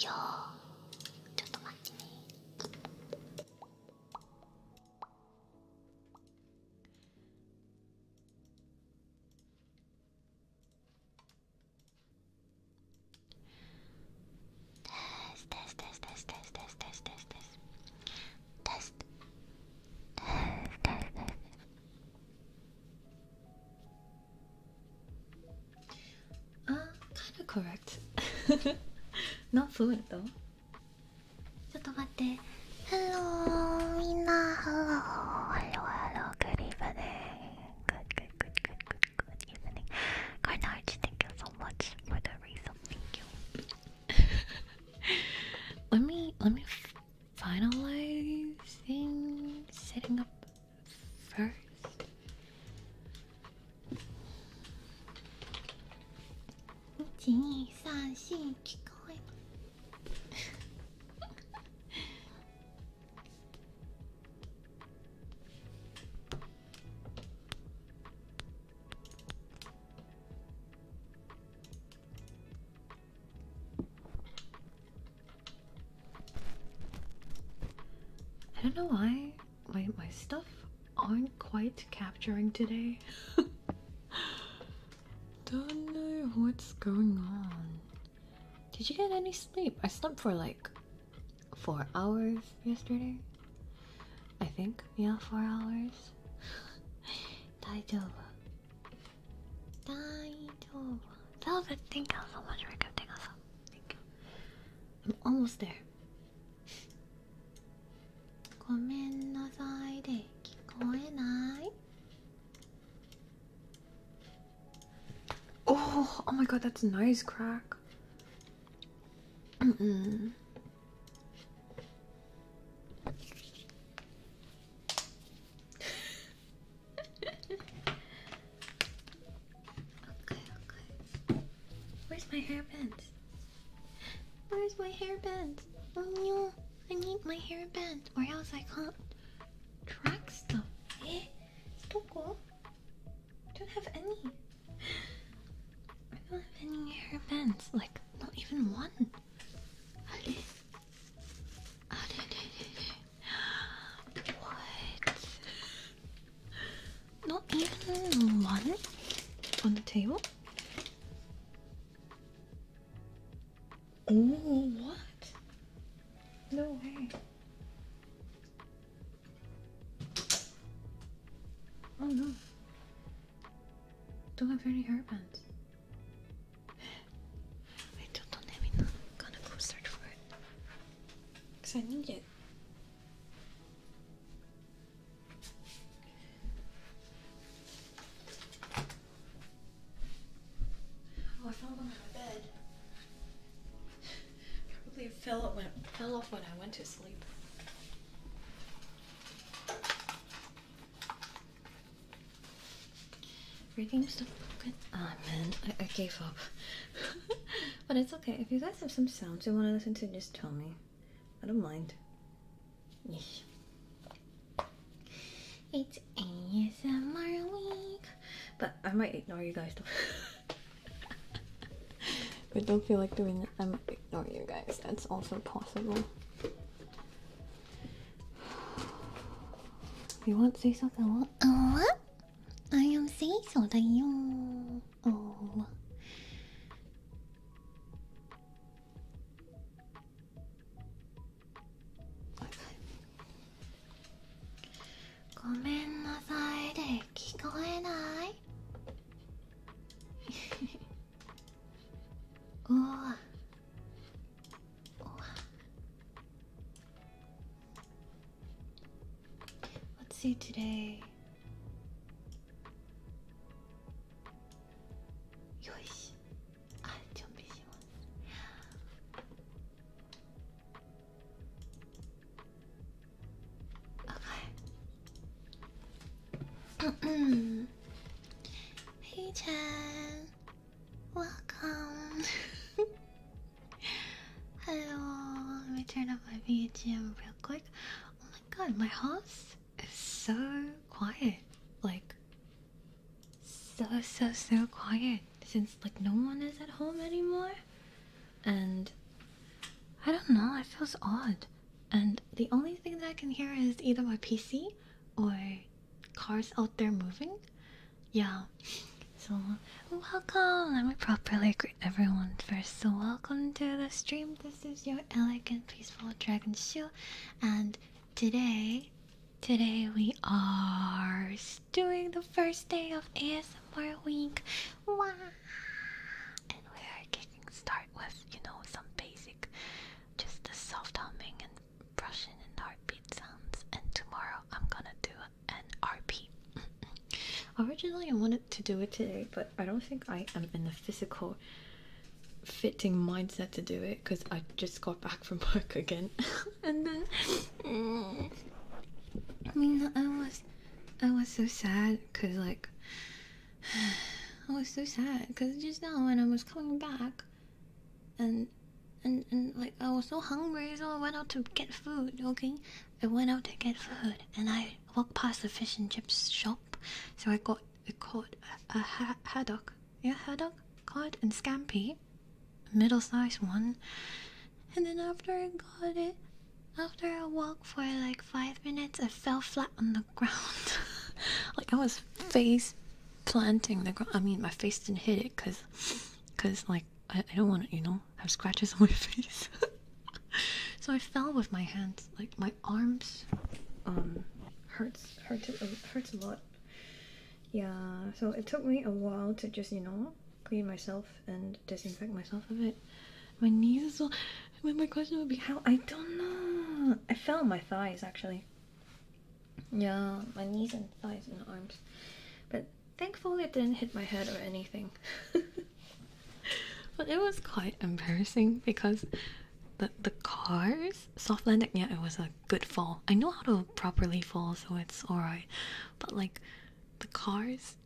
よーちょっと待ってね Test, Uh, kind of correct. Not fluent though. ちょっと待って。Hello, みんな Hello, Hello, Hello, Good evening. Good, good, good, good, good, good evening. Carnage, thank you so much for the reason. Thank you. let me let me finalize things setting up first. I don't know why my my stuff aren't quite capturing today. don't know what's going on. Did you get any sleep? I slept for like four hours yesterday. I think, yeah, four hours. Daijoubu. Daijoubu. Velvet, thank you so much for gifting us up. Thank you. I'm almost there. Gomennasai de kikoenai. Oh, oh my god, that's nice crack. Mm -mm. okay, okay. Where's my hairband? Where's my hairband? Oh no, I need my hairband, or else I can't track stuff. Eh? Don't go. Don't have any. I don't have any hair bands, like, not even one. What? Not even one on the table? Oh, what? No way. Oh no. Don't have any hairbands. I don't, don't have to go search for it. Because I need it. Oh, I found one on my bed. Probably fell off when, I went to sleep. Reading stuff broken? Ah man, I, gave up. but it's okay. If you guys have some sounds you want to listen to, just tell me. I don't mind. It's ASMR week. But I might ignore you guys I don't feel like doing it. I am ignoring you guys. That's also possible. You want say something? What? Oh, I am say something. Oh. Gomen nasai de おーおー oh. oh. Let's see today よしあ準備します Okay. hey, Chen. Welcome. Hello. Let me turn up my VGM real quick. Oh my god, my house is so quiet. Like, so, so, so quiet. Since, like, no one is at home anymore. And I don't know, it feels odd and the only thing that I can hear is either my PC or cars out there moving. Yeah, so welcome! Let me properly greet everyone first. So, welcome to the stream. This is your elegant, peaceful dragon shoe, and today, today we are doing the first day of ASMR week. Wow! and we're getting start with, you know, some basic, just the soft humming and brushing and heartbeat sounds. And tomorrow I'm gonna do an RP. Originally, I wanted to do it today, but I don't think I am in the physical fitting mindset to do it because I just got back from work again. and then, I mean, I was, I was so sad because like I was so sad because just now when I was coming back, and and and like I was so hungry, so I went out to get food. Okay, I went out to get food, and I walked past the fish and chips shop, so I got I caught a, a haddock, yeah haddock, cod and scampi, a middle-sized one, and then after I got it, after a walk for like five minutes, I fell flat on the ground. like I was face planting the ground. I mean, my face didn't hit it because, cause like I, don't want to, you know, have scratches on my face. so I fell with my hands. Like my arms, um, hurts hurts hurts a lot. Yeah. So it took me a while to just you know clean myself and disinfect myself of it. My knees as well. But my question would be how? I don't know. I felt my thighs actually. Yeah, my knees and thighs and arms. But thankfully, it didn't hit my head or anything. but it was quite embarrassing because the the cars soft landing. Yeah, it was a good fall. I know how to properly fall, so it's alright. But like the cars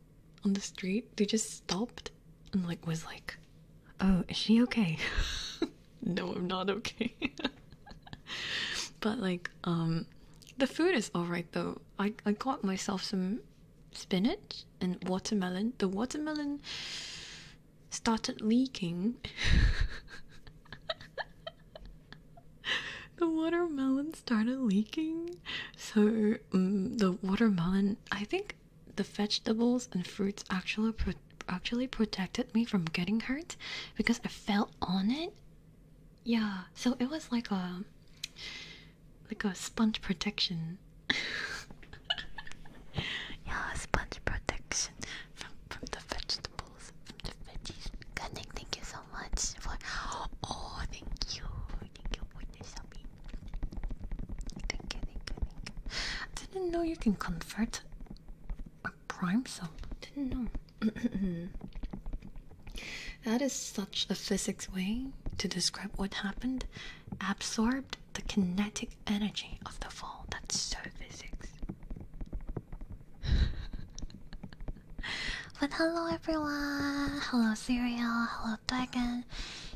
on the street. They just stopped and like was like, "Oh, is she okay?" no, I'm not okay. but like, um, the food is all right though. I I got myself some spinach and watermelon. The watermelon started leaking. the watermelon started leaking so mm, the watermelon i think the vegetables and fruits actually actually protected me from getting hurt because I fell on it. Yeah, so it was like a like a sponge protection. yeah, sponge protection from the vegetables, thank you so much for. Oh, thank you, Think, think, think. I didn't know you can convert a prime sum. Didn't know. that is such a physics way to describe what happened. Absorbed the kinetic energy of the fall. That's so physics. but hello everyone. Hello cereal. Hello Hello, Dragon.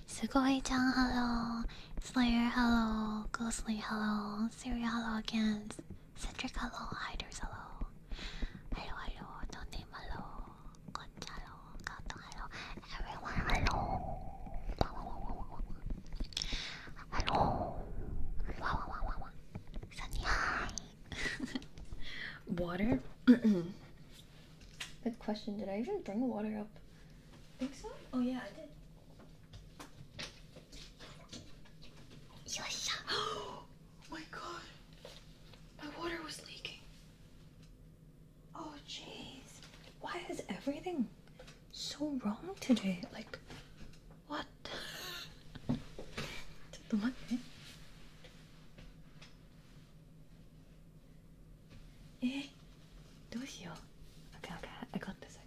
Sugoi-chan, hello. Slayer, hello. Ghostly, hello. Siri, hello again. Cedric, hello. Hiders, hello. Hello, hello. Tony, hello. Concha, hello. Gato, hello. Everyone, hello. Hello. Sunny, hi. Water? Good question. Did I even bring water up? think so. Oh yeah, I did. Yosha. Oh my god. My water was leaking. Oh jeez. Why is everything so wrong today? Like what? えー、どうしよう okay, okay, I got this, I got this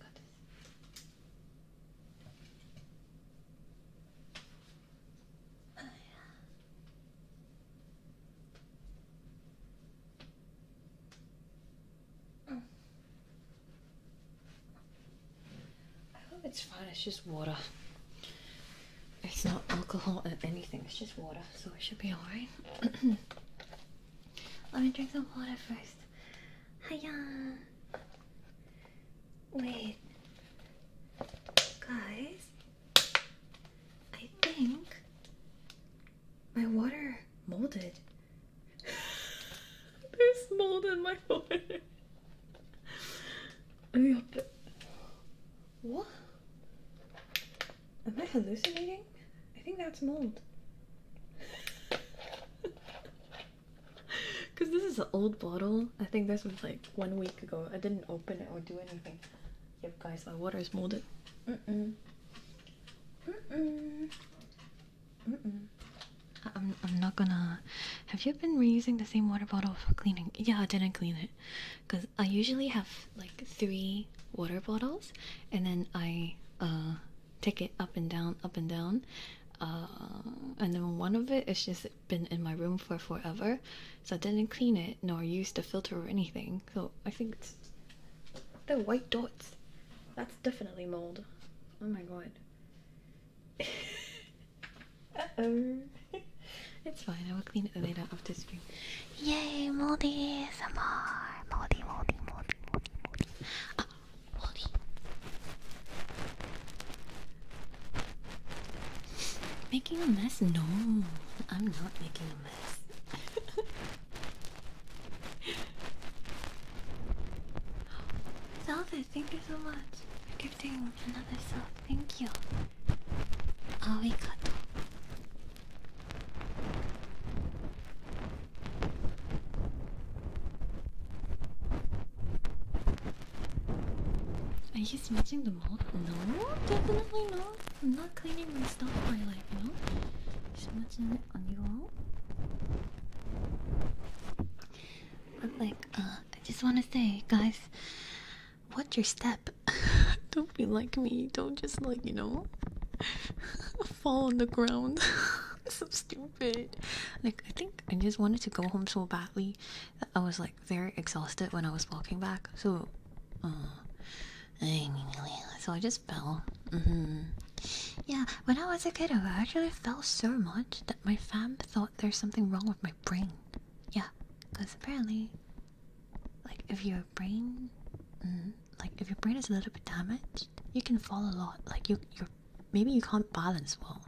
I hope it's fine, it's just water. It's not alcohol or anything, it's just water, so it should be alright. Let me drink some water first. Hiya! Wait. Guys, I think my water molded. There's mold in my water. Let me open What? Am I hallucinating? I think that's mold. Because this is an old bottle. I think this was like one week ago. I didn't open it or do anything. Yep, guys, my water is molded. Mm-mm. Mm-mm. Mm-mm. I'm, I'm not gonna... Have you been reusing the same water bottle for cleaning? Yeah, I didn't clean it. Because I usually have like three water bottles, and then I uh, take it up and down, up and down. Uh, and then one of it has just been in my room for forever, so I didn't clean it nor use the filter or anything. So I think it's the white dots. That's definitely mold. Oh my god. uh oh. it's fine. I will clean it later after this video. Yay, moldy Samar, Moldy, moldy, moldy, moldy, ah, moldy. Making a mess? No, I'm not making a mess. Velvet, thank you so much for gifting another sub. Thank you. we Arigato. Are you smudging the mold? No, definitely not. I'm not cleaning my stuff I like, you know, smudging it on you all. But like, uh, I just want to say, guys, watch your step. don't be like me. Don't just like, you know, fall on the ground. so stupid. Like I think I just wanted to go home so badly that I was like very exhausted when I was walking back. So, uh, so I just fell. Mm-hmm. Yeah, when I was a kid, I actually fell so much that my fam thought there's something wrong with my brain. Yeah, because apparently, like if your brain. Mm-hmm, like if your brain is a little bit damaged, you can fall a lot. Like you, you maybe you can't balance well.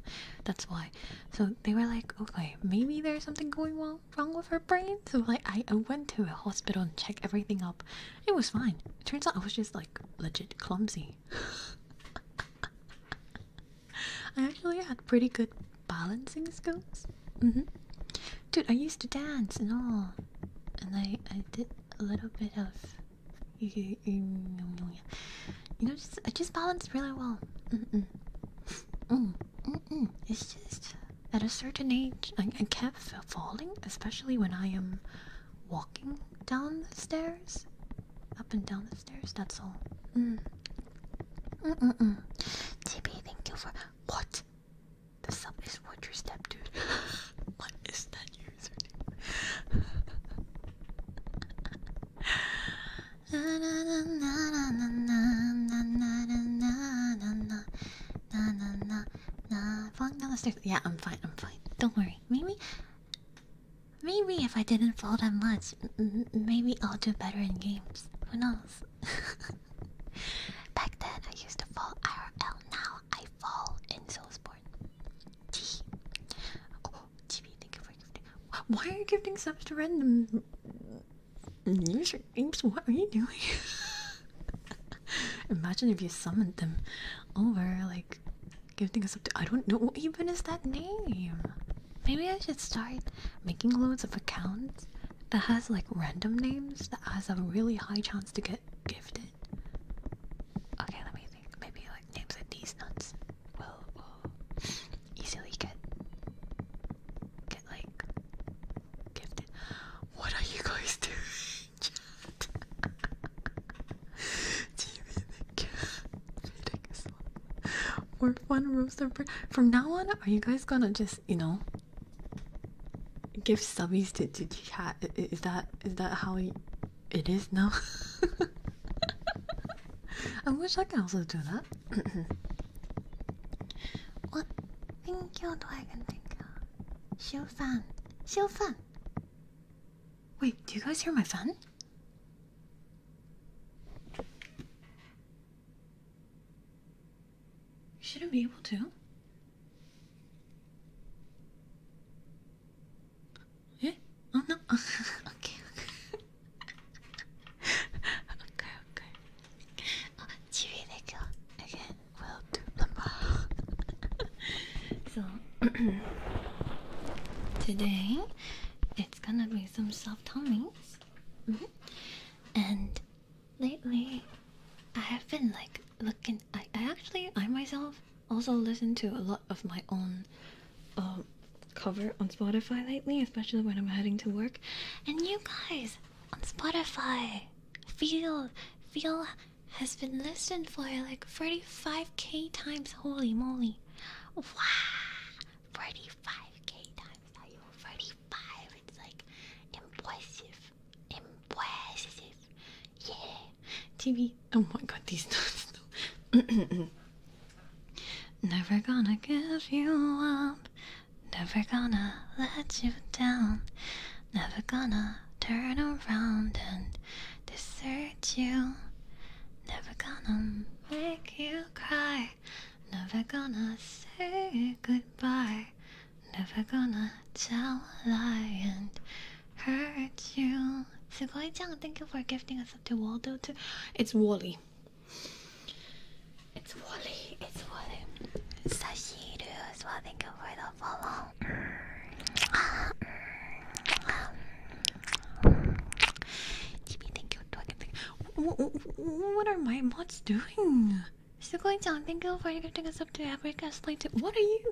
That's why. So they were like, okay, maybe there's something going wrong wrong with her brain. So like I, I went to a hospital and checked everything up. It was fine. turns out I was just like legit clumsy. I actually had pretty good balancing skills. Mm-hmm. Dude, I used to dance and all and I I did a little bit of you know just I just balanced really well. Mm -mm. Mm, mm -mm. It's just at a certain age I, I kept falling, especially when I am walking down the stairs, up and down the stairs. That's all. Mm. Mm mm mm. TB, thank you for what? The sub is Fortress Step, dude. what is that username? Falling down the stairs. Yeah, I'm fine. I'm fine. Don't worry. Maybe, maybe if I didn't fall that much, maybe I'll do better in games. Who knows? Back then, I used to fall IRL. Now I fall in Soulsborne. T. Oh, GB, Why are you gifting subs to random user names? What are you doing? Imagine if you summoned them over, like gifting us up to. I don't know what even is that name. Maybe I should start making loads of accounts that has like random names that has a really high chance to get gifted? Okay, let me think. Maybe like names like these nuts will easily get get like gifted. What are you guys doing? TV the cat. More fun From now on, are you guys gonna just you know give subbies to, to chat. Is that is that how it is now? I wish I could also do that. what you. Do I can Dragon Linka? Xiu Fan. Xiu Fan. Wait, do you guys hear my fan? shouldn't be able to. えあな eh? oh, okay, okay. okay, okay. 아, 집이 내가 again will so today it's gonna be some soft tummies mm and lately I have been like looking and I, I actually I myself also listen to a lot of my own um, cover on Spotify lately, especially when I'm heading to work. And you guys on Spotify, feel feel has been listened for like 35k times. Holy moly! Wow, 35k times. Are you 35? It's like impressive. Impressive. Yeah. TV. Oh my god, these notes. Never gonna give you up. Never gonna let you down. Never gonna turn around and desert you. Never gonna make you cry. Never gonna say goodbye. Never gonna tell a lie and hurt you. So Sugoi-chan, thank you for gifting us up to Waldo too. It's Wally. It's Wally. It's Wally. Sashiru as well. Thank you for the follow. Chibi, What are my mods doing? going down. thank you for you gifting us up to Africa Slate. What are you?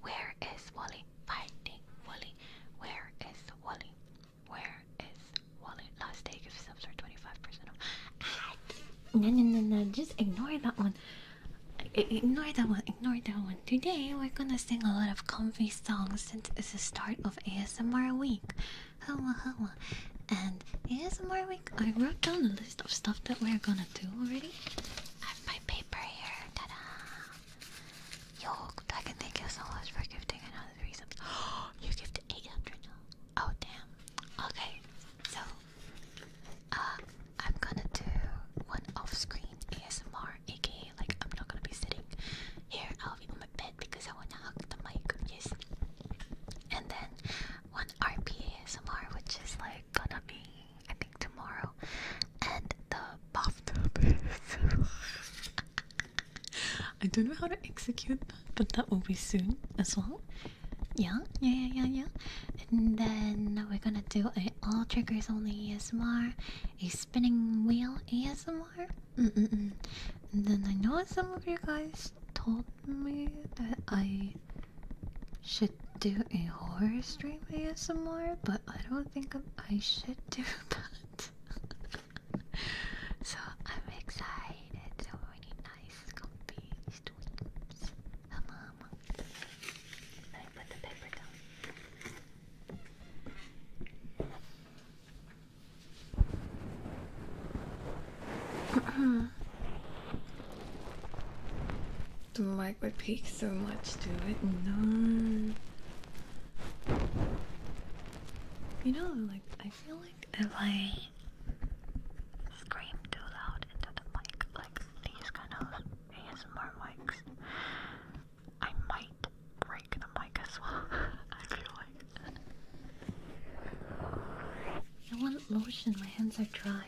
Where is Wally? Finding Wally. Where is Wally? Where is Wally? Last day gives subs are 25% off. Ah, no, no, no, no. Just ignore that one. ignore that one. Ignore that one. Today we're gonna sing a lot of comfy songs since it's the start of ASMR week. Hola hola. And ASMR week, I wrote down a list of stuff that we're gonna do already have my paper here. Ta-da! Yo, Dragon, thank you so much for gifting another three you gifted 800 Oh, damn. Okay, so, uh, I'm gonna do one off-screen ASMR, aka, like, I'm not gonna be sitting here. I'll be on my bed because I wanna hug the mic. Yes. And then one RP ASMR, which is like gonna be, I think, tomorrow. And the Boftober. I don't know how to execute that, but that will be soon as well. Yeah, yeah, yeah, yeah, And then we're gonna do a all triggers only ASMR, a spinning wheel ASMR. And then I know some of you guys told me that I. Should do a horror stream some more, but I don't think i should do that. so I'm excited. So many nice, comfy streams. Come on. Let me put the paper down. Do The mic would peak so much to it. No. You know, like, I feel like if I scream too loud into the mic, like these kind of more mics, I might break the mic as well. I feel like. I want lotion, my hands are dry.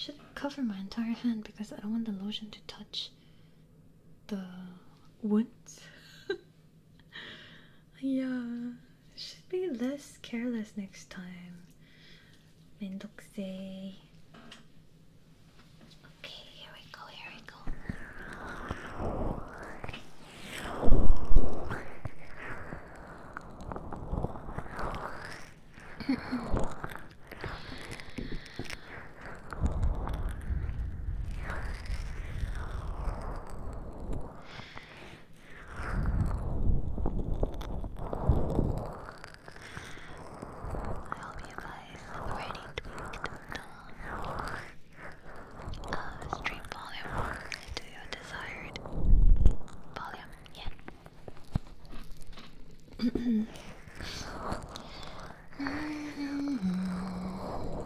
Should cover my entire hand because I don't want the lotion to touch the wounds yeah, should be less careless next time. Mendokse. Okay, here we go, here we go. I hope you guys are ready to make the uh, stream volume to your desired volume. Yeah.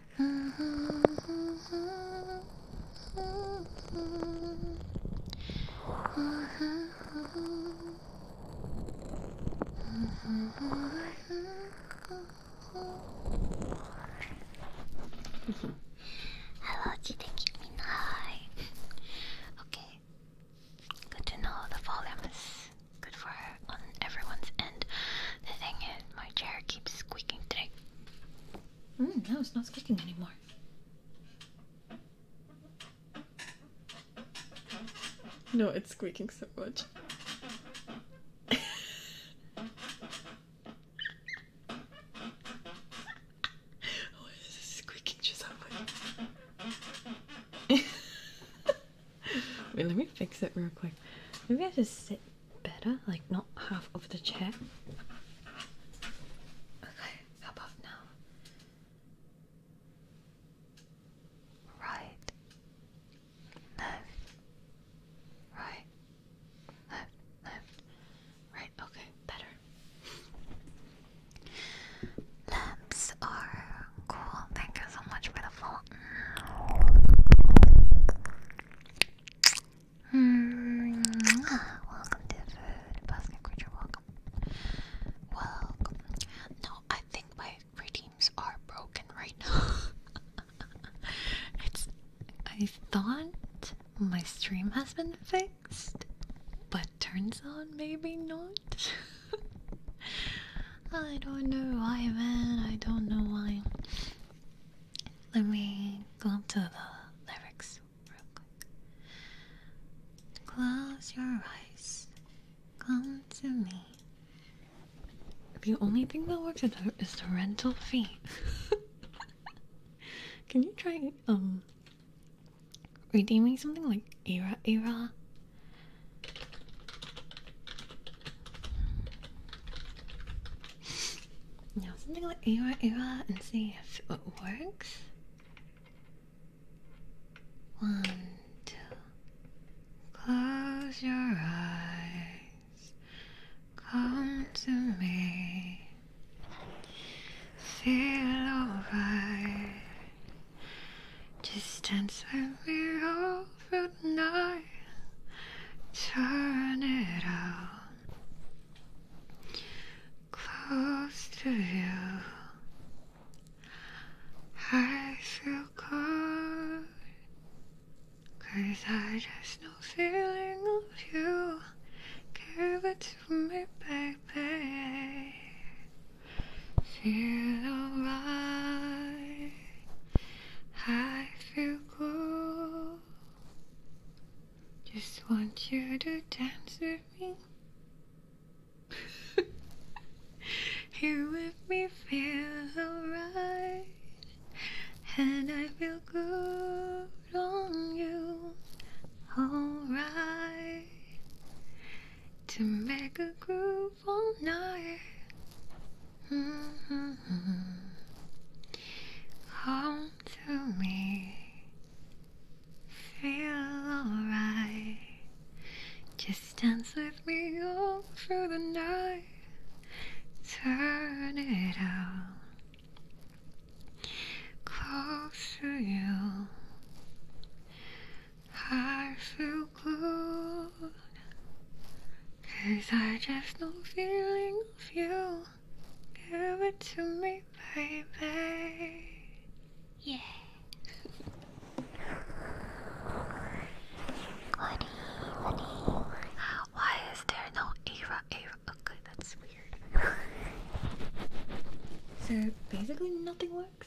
Hello, did they keep me high? Okay, good to know the volume is good for her on everyone's end. The thing is, my chair keeps squeaking today. Mm, no, it's not squeaking anymore. No, it's squeaking so much. oh, this squeaking just so much. Wait, let me fix it real quick. Maybe I just sit better, like not half of the chair. Okay, how about now? Right. No. Right. No, no. Right, okay, better. Lamps are cool. Thank you so much for the fall. -hmm. Welcome to food basket creature. Welcome. Welcome. No, I think my redeems are broken right now. it's. I thought my stream has been fixed, but turns out maybe not. I don't know why, man. I don't know why. Let me go up to the lyrics real quick. Close your eyes. Come to me. The only thing that works is the, is the rental fee. Can you try um redeeming something like era era? Now something like Awa Awa and see if it works. One, two. Close your eyes. Come to me. Feel alright. Just dance with me over good Turn it out. Close to you. I feel good. Cause I just know feeling of you. Give it to me, baby. Feel alright. I feel good. Just want you to dance with me. Here with me, feel alright, and I feel good on you. Alright, to make a groove all night. Mm-hmm. Home to me. Feel alright. Just dance with me all through the night. Turn it out. Close to you. I feel good. Cause I just no feeling you. Give it to me, baby. Yeah. honey, honey. Why is there no Ava? Ava. Okay, that's weird. so basically, nothing works.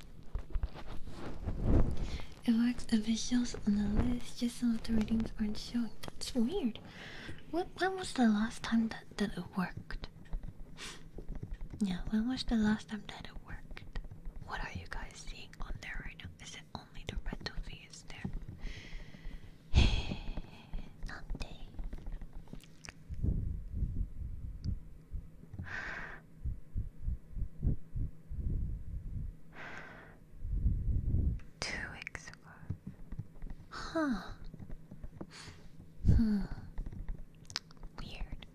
It works officials on the list, just so the ratings aren't showing. That's weird. What when was the last time that, that it worked? Yeah, when was the last time that it worked? What are you guys seeing on there right now? Is it only the red is there? Not Two weeks ago. Huh. Hmm. Weird.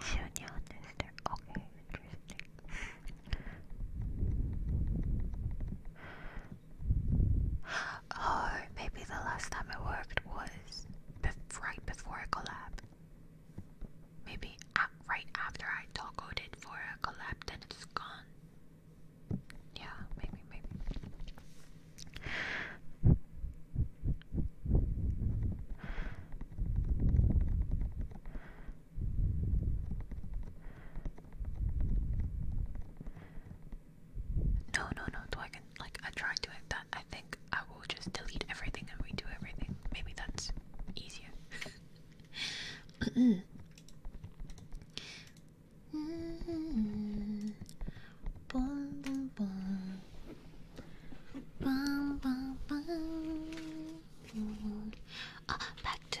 Junior sister. Okay, interesting. Or oh, maybe the last time it worked was right before it collapsed. Maybe right after I toggled it for a collapse, then it's gone. Yeah, maybe, maybe. No, no, no. So I can like I try doing that. I think I will just delete everything and redo everything. Maybe that's easier. mm -hmm. bon, bon, bon. Bon, bon, bon. Bon. Ah, back to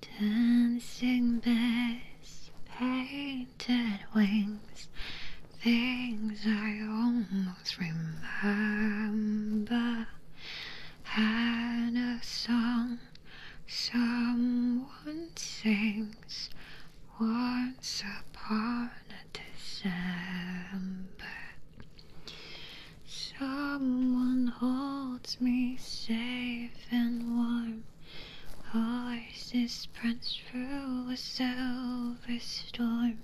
Dancing bears, painted wings, things I almost remember. Had a song someone sings once upon a December, someone holds me safe and warm. Voices prance through a silver storm.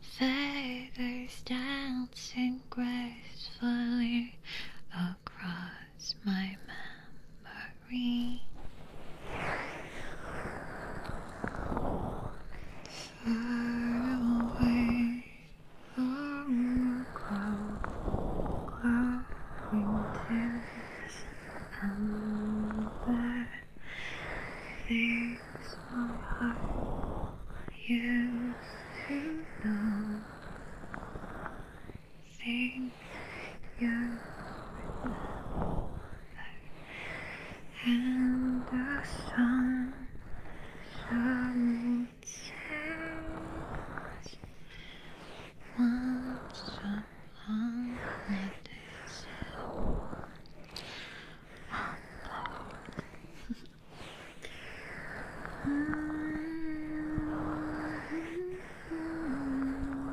Feathers dancing gracefully across my memory three, far away from cloud, cloud and there things my heart used to know things you remember and the sun salutes us once upon this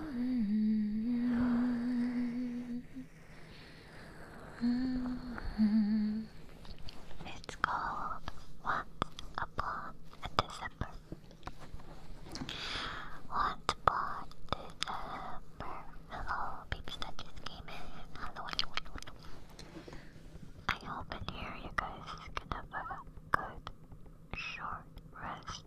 It's called What Upon a December. What Upon December. Hello, peeps that just came in. I hope in here you guys good short rest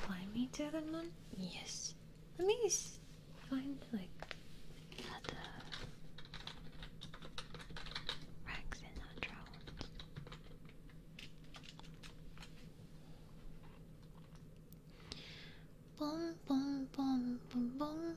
Fly me to the Yes. Let me find like other racks in our drawers. Boom boom boom boom boom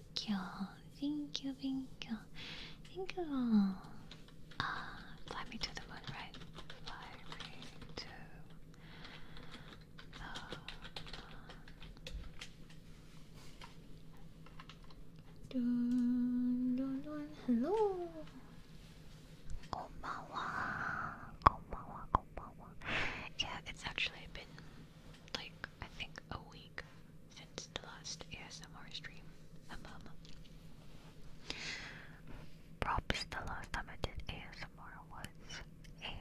Thank you, thank you, thank you, thank you. Ah, fly me to the moon, right? Fly Hello. Konbanwa. Konbanwa, konbanwa. Yeah, it's actually been like I think a week since the last ASMR stream. Um, props the last time I did ASMR was a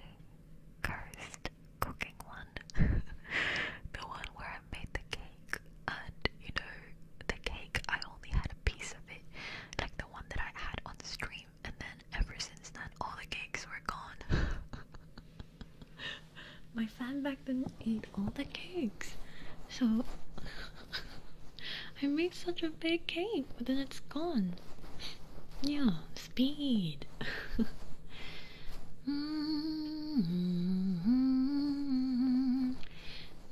cursed cooking one. the one where I made the cake and you know the cake I only had a piece of it. Like the one that I had on stream and then ever since then all the cakes were gone. my fan back didn't eat all the cakes. So I made such a big cake, but then it's gone. Yeah, speed. Mm-hmm. Mm-hmm.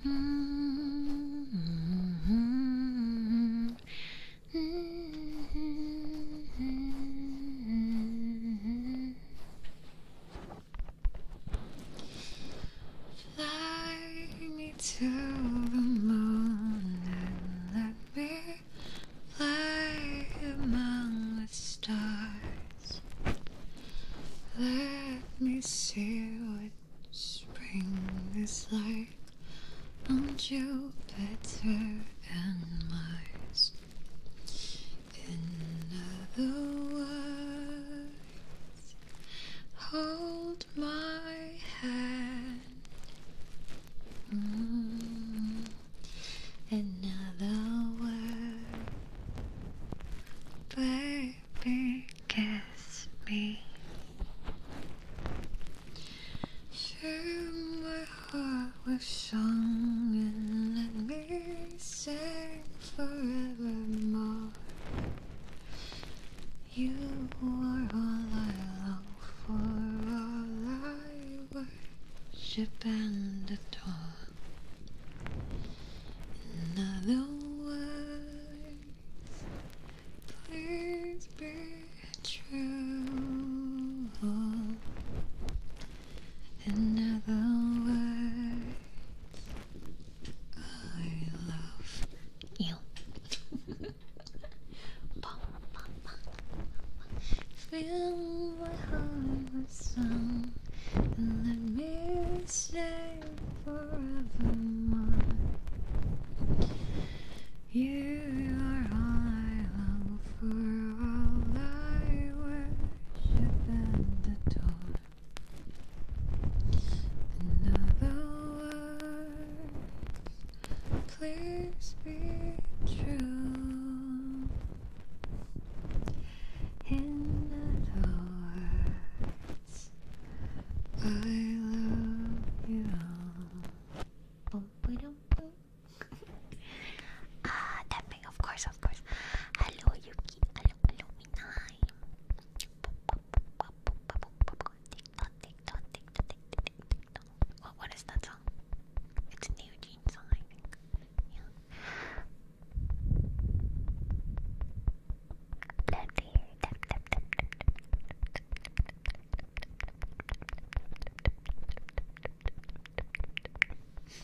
Mm-hmm. Fly me to the moon and let me fly among the stars. Let me see what spring is like on Jupiter and Mars. In other words, hold my hand. Mm. In other words, baby, kiss me. Share my heart with song and let me sing forevermore. You are all I long for, all I worship and adore. In other words, please be true. In other words, I love you. Feel my heart with song and let me stay forevermore. You are all I long for, all I worship and adore. In other words, please be true. In other words, I love you. of course, of course. Hello, Yuki. Hello, hello, What, what is that song? It's a new song, Yeah.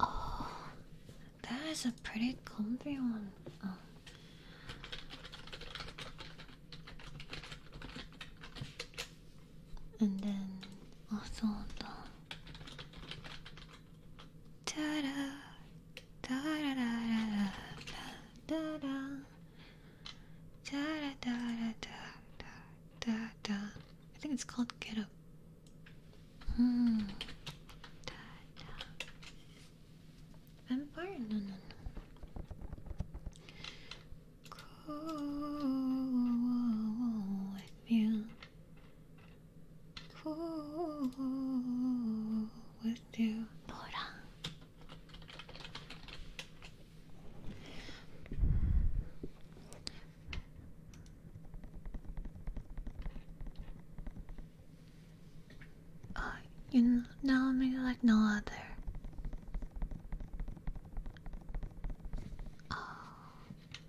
Oh, that is a pretty comfy one. Oh and then also the ta-da, ta-da-da-da-da, ta-da, ta-da-da-da-da-da-da. I think it's called Get Up. Hmm. Da, da. Vampire? No, no, no. Cool. I feel cool with you, Nora. Uh, you know me like no other. Oh.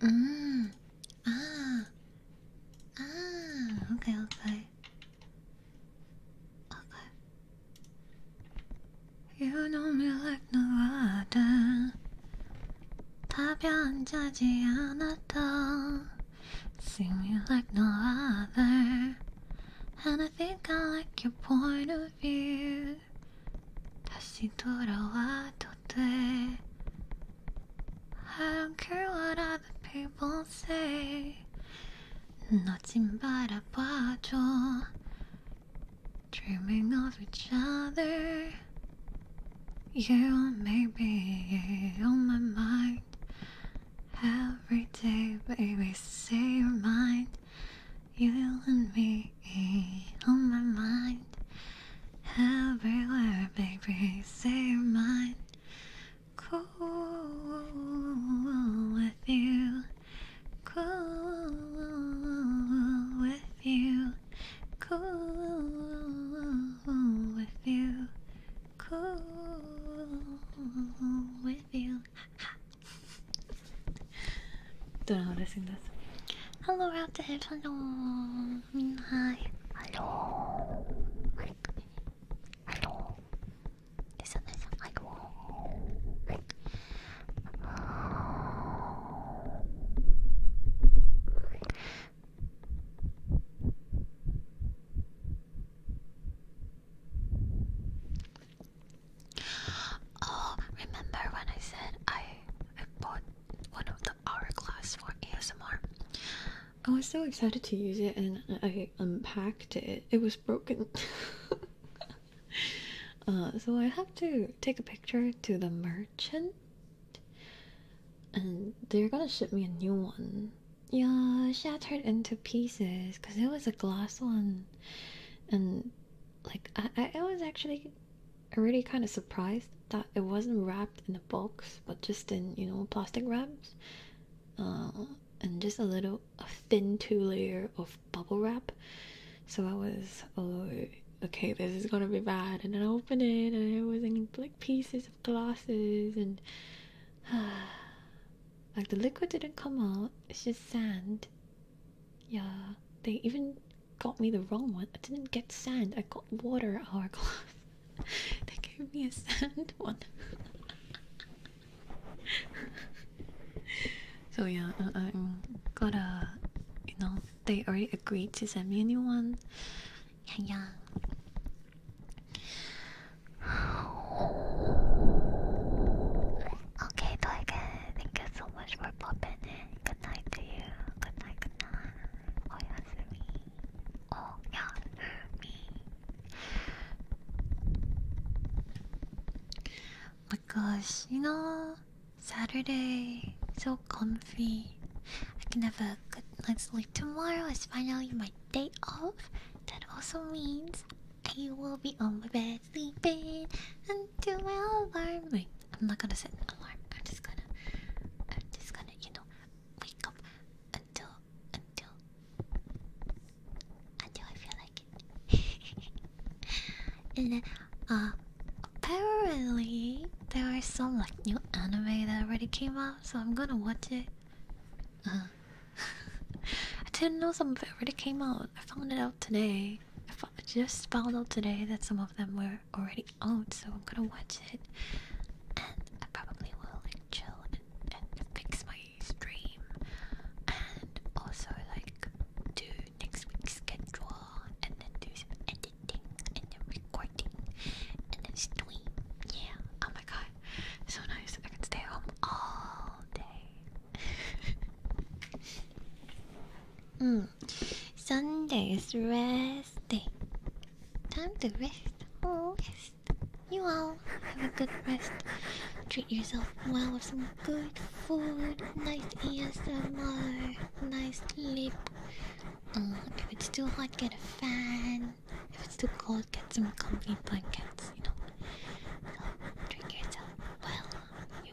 Mm. Ah. Ah. Okay. Okay. Okay. You know me like no other. 답이 안 자지 않았다. See me like no other. And I think I like your point of I don't care what other people say 너진 바라봐줘 Dreaming of each other You may be on my mind Every day baby say your mind you and me on my mind. Everywhere, baby, say you're mine. Cool with you. Cool with you. Cool with you. Cool with you. Don't know how to sing this. Hello, Raptor. Hello. I mean, hi. Hello. Hello. Isn't this like Oh, remember when I said I I bought one of the hourglass for ASMR? I was so excited to use it and I unpacked it. It was broken. Uh, so I have to take a picture to the merchant and they're gonna ship me a new one. Yeah, shattered into pieces because it was a glass one. And like I, I was actually really kind of surprised that it wasn't wrapped in a box but just in you know plastic wraps uh, and just a little thin two layer of bubble wrap so i was oh okay this is gonna be bad and i opened it and it was in like pieces of glasses and like the liquid didn't come out it's just sand yeah, they even got me the wrong one. I didn't get sand, I got water hourglass. they gave me a sand one. so yeah, uh, I am gotta, you know, they already agreed to send me a new one. Yeah, yeah. Okay, Toygen, thank you so much for popping in. Good night to you. Good night, good night. Oh, yes, Oh, yeah, me. Oh you know, Saturday, so comfy. I can have a good night's sleep. Tomorrow It's finally my day off. That also means I will be on my bed sleeping until my alarm. Wait, I'm not gonna set an alarm. I'm just gonna, I'm just gonna, you know, wake up until, until, until I feel like it. and then, uh, apparently there are some like new anime that already came out, so I'm gonna watch it. Uh, I didn't know some of it already came out. I found it out today. I, just found out today that some of them were already out, so I'm gonna watch it. And I probably will like chill and, fix my stream, and also like do next week's schedule, and then do some editing, and then recording, and then stream. Yeah. Oh my god, so nice! I can stay home all day. Hmm. Sunday is rest day. Time to rest. Oh, rest. You all have a good rest. Treat yourself well with some good food, nice ASMR, nice sleep. Oh, if it's too hot, get a fan. If it's too cold, get some comfy blankets, you know. So, treat yourself well. You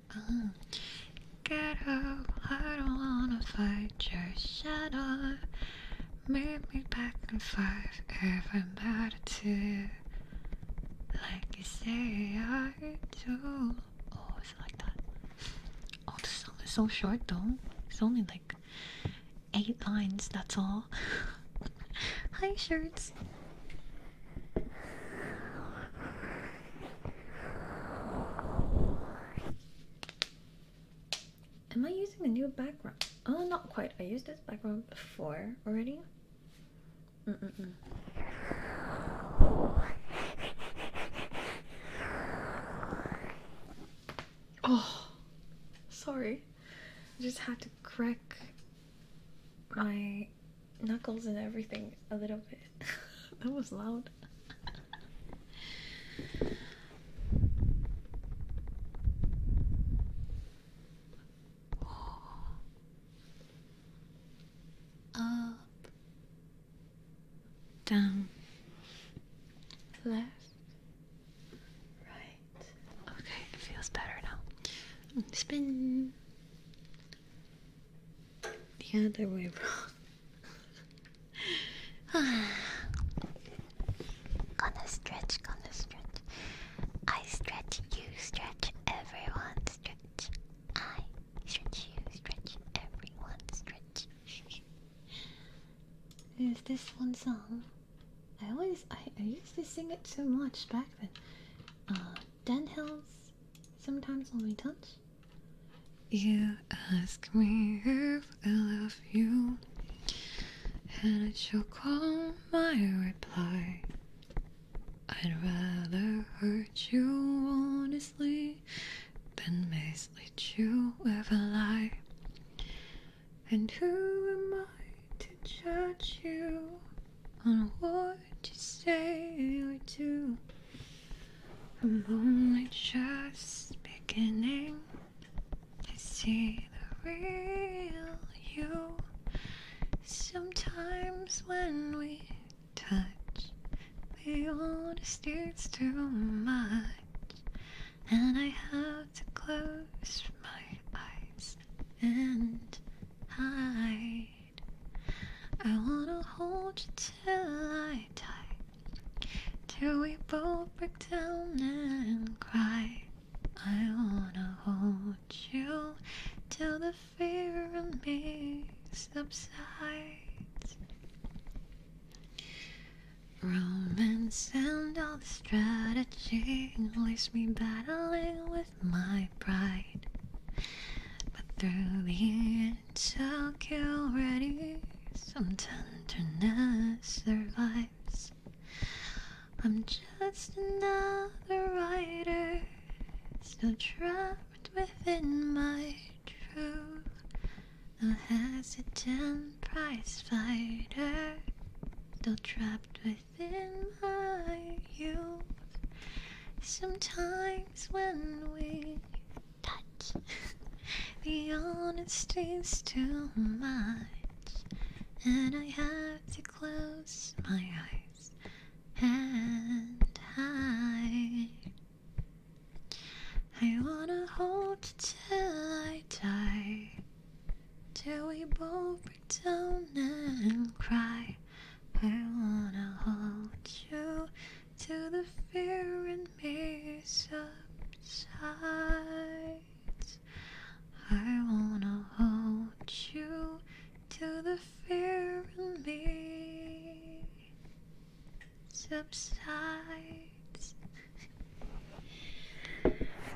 get up, I don't wanna fight your shadow. Meet me back in five if I'm bad too. Like you say I do. Oh, is it like that? Oh, the song is so short though. It's only like eight lines, that's all. Hi, shirts. Am I using a new background? Oh, not quite. I used this background before already. Oh, sorry. I just had to crack my knuckles and everything a little bit. that was loud. Up, down, left, right. Okay, it feels better now. Spin. The other way around. gonna stretch, gonna stretch. I stretch, you stretch, everyone stretch. I stretch, you stretch, everyone stretch. Is this one song? I always I, I used to sing it so much back then. Um, Den hills sometimes when we touch. You ask me if I love you, and it shall call my reply. I'd rather hurt you honestly than mislead you with a lie. And who am I to judge you on what just say or two. I'm only just beginning to see the real you. Sometimes when we touch, the oldest it's too much, and I have to close my eyes and hide. I wanna hold you till I die. Till we both break down and cry. I wanna hold you till the fear in me subsides. Romance and all the strategy leaves me battling with my pride. But through the end you already, some tenderness survives. I'm just another writer, still trapped within my truth. A hesitant prize fighter, still trapped within my youth. Sometimes things when we touch. the honesty's too much, and I have to close my eyes and hide. I wanna hold till I die, till we both break down and cry. I wanna hold you till the fear in me subsides. I wanna hold you till the fear in me subsides.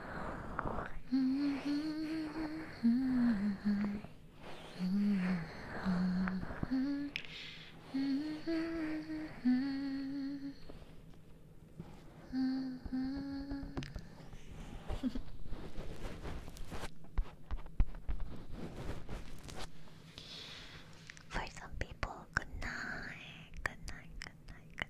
For some people, good night, good night, good night, good night, good night.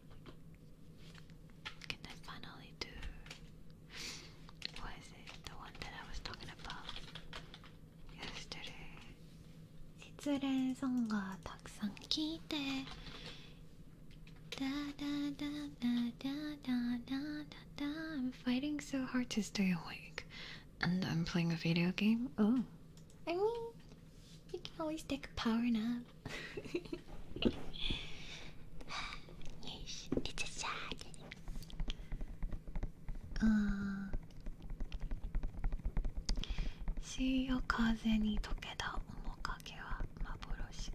Can I finally do what is it? The one that I was talking about yesterday. I'm fighting so hard to stay awake. And I'm playing a video game? Oh. I mean, you can always take a power nap. しょいちゃちゃーうん潮風に溶けた面影は幻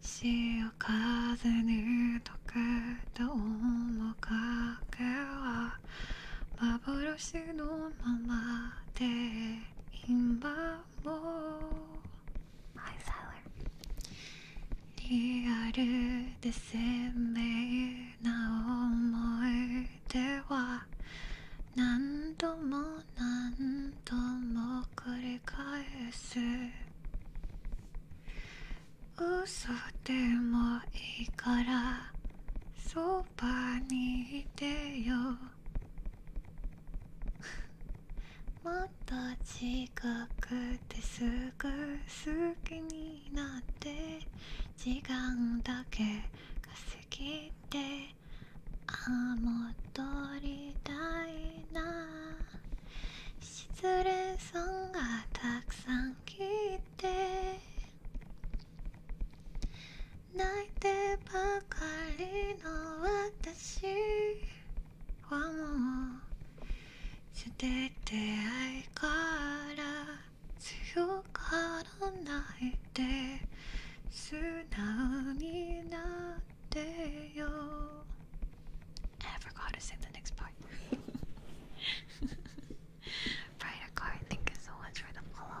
潮風に溶けた面影は幻のままで今も Hi, t リアルで鮮明な思い出は何度も何度も繰り返す嘘でもいいからそばにいてよも また近くてすぐ好きになって時間だけが過ぎてあも戻りたいな失恋ソングがたくさん聴いて泣いてばかりの私はもう捨ててないから強からないで素直になってよ I forgot to sing the next part Brighter car, thank you so much for the follow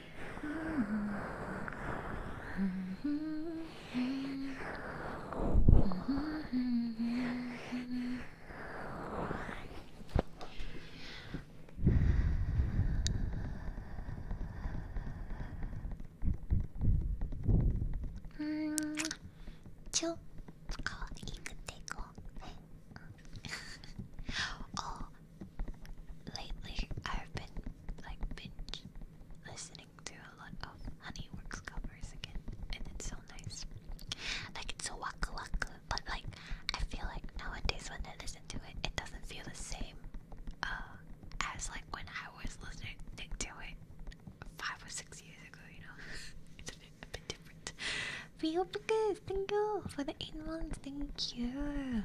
うんちょっ。かわいい。くてこうねお lately I've been like binge listening to a lot of Honeyworks covers again, and it's so nice. Like it's so waku waku, but like I feel like nowadays when I listen to it, it doesn't feel the same uh, as like when I was listening to it five or six years ago. You know, it's a bit, a bit different. Real Bookers, thank you for the eight months. Thank you.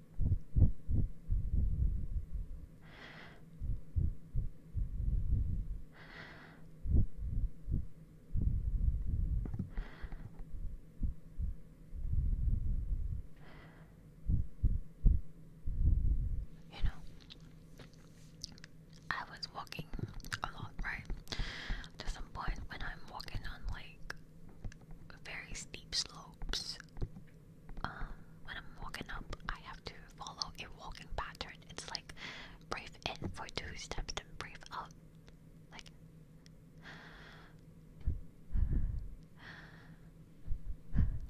You know, I was walking a lot, right? To some point when I'm walking on like very steep slopes um, when I'm walking up, I have to follow a walking pattern. It's like breathe in for two steps, then breathe out. Like.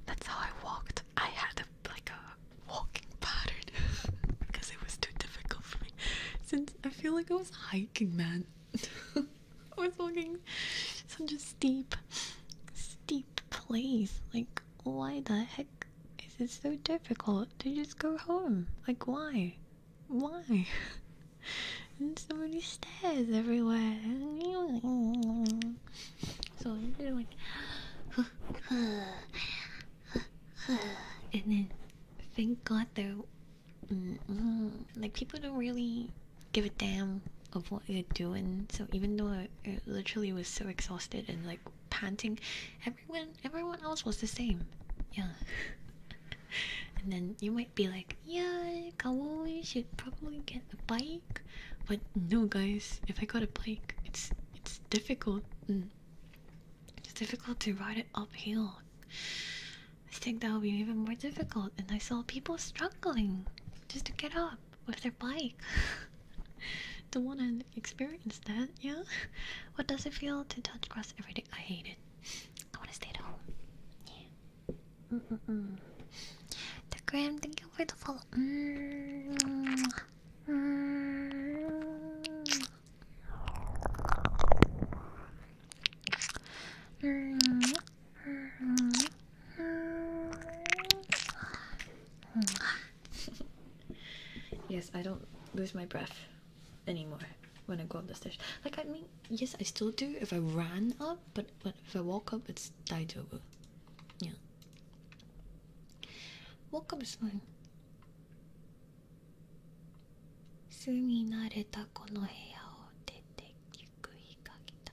That's how I walked. I had a, like a walking pattern because it was too difficult for me. Since I feel like I was hiking, man. I was walking such just steep, steep me, please. Like, why the heck is it so difficult to just go home? Like, why? Why? and so many stairs everywhere. so I'm just like, and then thank God though, like people don't really give a damn of what you're doing. So even though I, literally was so exhausted and like panting, everyone everyone else was the same. Yeah. and then you might be like, yeah, Kawoy should probably get a bike, but no, guys. If I got a bike, it's it's difficult. Mm. It's difficult to ride it uphill. I think that would be even more difficult. And I saw people struggling just to get up with their bike. Don't wanna experience that, yeah? What does it feel to touch grass every day? I hate it. I wanna stay at home. Yeah. Mm -mm -mm. The gram, thank you for the follow. Mm -hmm. Mm -hmm. Mm -hmm. -hmm. yes, I don't lose my breath anymore when I go up the stairs. Like I mean, yes, I still do if I ran up, but but if I walk up, it's died over. Yeah. Walk up is fine. 住み慣れたこの部屋を出て行く日が来た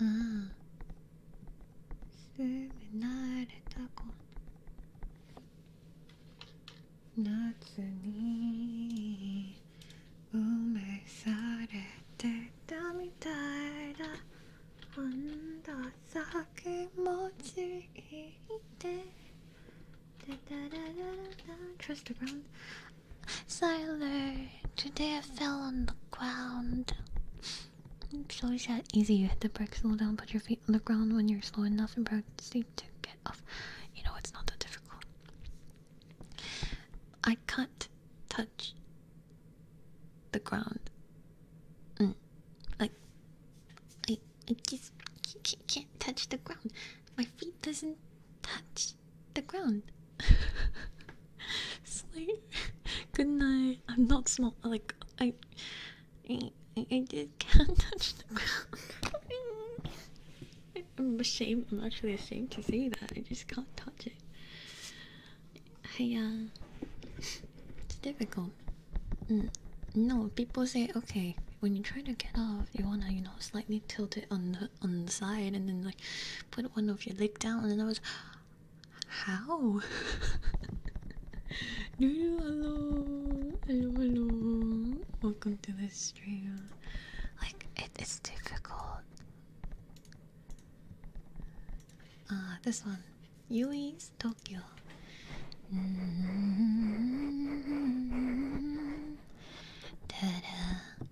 うん。すぐ慣れたこ夏に埋めされてたみたいだなんださ気持ちいいって Trust around Siler, today I fell on the ground. It's always that easy. You hit the brake, slow down, put your feet on the ground when you're slow enough and proceed to get off. You know, it's not that difficult. I can't touch the ground. Mm. Like, I, I just can't touch the ground. My feet doesn't touch the ground. Sleep. Good night. I'm not small. Like I, I, I just can't touch the ground. I'm ashamed. I'm actually ashamed to say that. I just can't touch it. I uh, it's difficult. Mm, no, people say okay. When you try to get off, you wanna you know slightly tilt it on the on the side and then like put one of your leg down and I was how? hello, hello, hello. Welcome to the stream. Like it is difficult. Ah, this one, Yui's Tokyo. -hmm. ta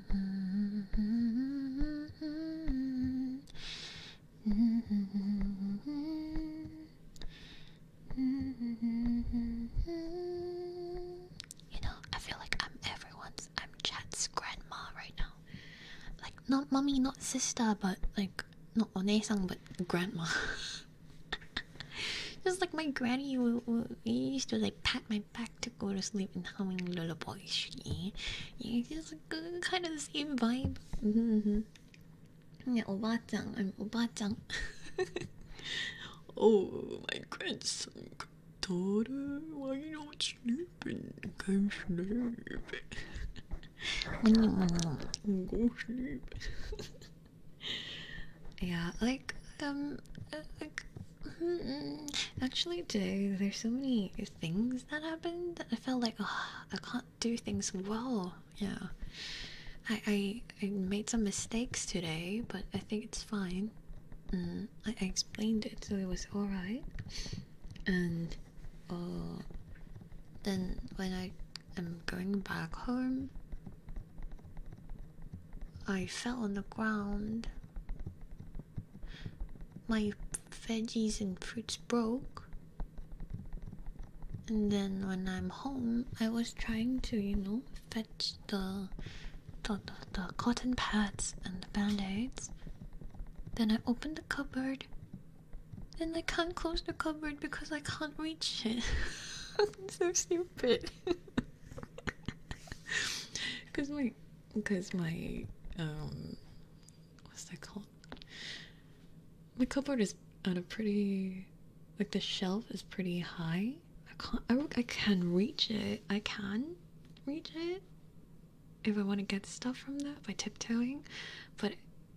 You know, I feel like I'm everyone's, I'm Chat's grandma right now. Like, not mommy, not sister, but like, not onesang, but grandma. Just like my granny I used to like pat my back to go to sleep and humming lullabies. Yeah, yeah it's a kind of the same vibe. Mm hmm. Yeah, Obachan, I'm Obachan. oh, my grandson, daughter, why are you not sleeping? I'm not sleep. Go sleep. yeah, like um, uh, like Actually, do there's so many things that happened I felt like oh, I can't do things well. Yeah, I, I made some mistakes today, but I think it's fine. Mm, I, explained it, so it was all right. And uh, then when I am going back home, I fell on the ground. My veggies and fruits broke. And then when I'm home, I was trying to, you know, fetch the the, the, cotton pads and the band-aids. Then I opened the cupboard. And I can't close the cupboard because I can't reach it. I'm so stupid. Because my because my um what's that called? My cupboard is on a pretty like the shelf is pretty high. I can't I, I can reach it. I can reach it if I want to get stuff from that by tiptoeing, but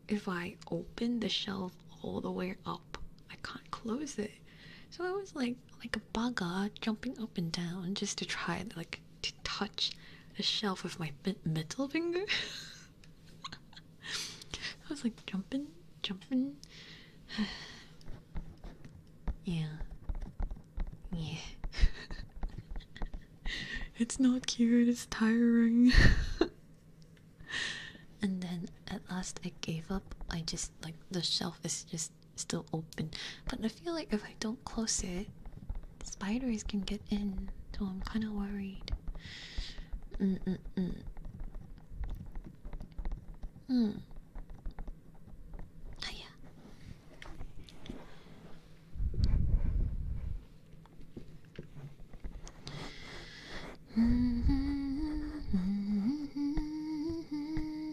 if I open the shelf all the way up, I can't close it. So I was like like a bugger uh, jumping up and down just to try like to touch the shelf with my middle finger. I was like jumping, jumping. yeah, yeah. it's not cute. It's tiring. and then at last I gave up. I just like the shelf is just still open. But I feel like if I don't close it, spiders can get in. So I'm kind of worried. Mm mm mm. Hmm. yeah. Mm -hmm. Mm -hmm. Mm-hmm.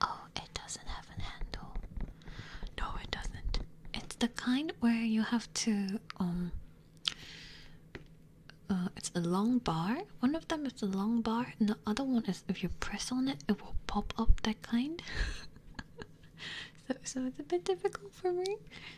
Oh, it doesn't have a handle. No, it doesn't. It's the kind where you have to um uh, it's a long bar. One of them is a long bar, the other one is if you press on it, it will pop up that kind. so, so it's a bit difficult for me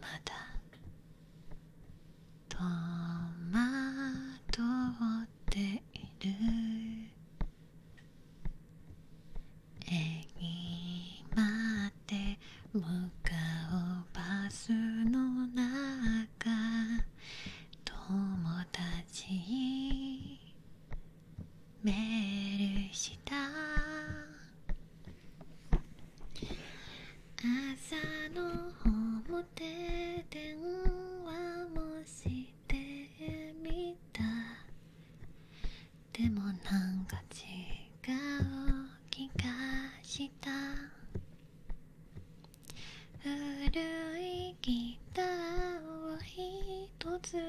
まだとまとっているえ駅までむかうバスの中友達にメールした朝のホームで電話もしてみたでもなんか違う気がした古いギターを一つ持っ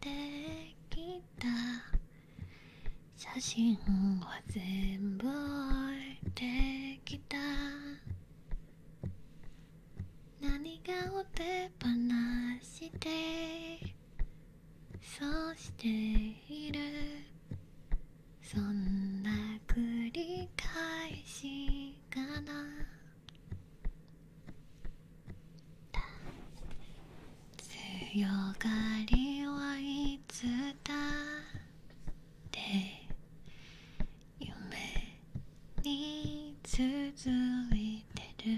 てきた写真は全部置いてきた何がお手放してそうしているそんな繰り返しかな強がりはいいって夢に続いてる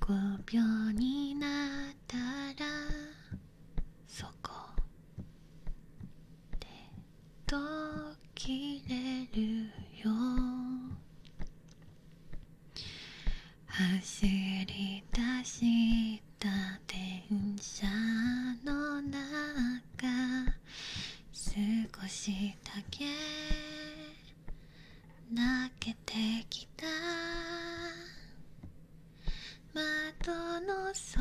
臆病になったらそこで途切れるよ走り出した電車の中少しだけ泣けてきた窓の外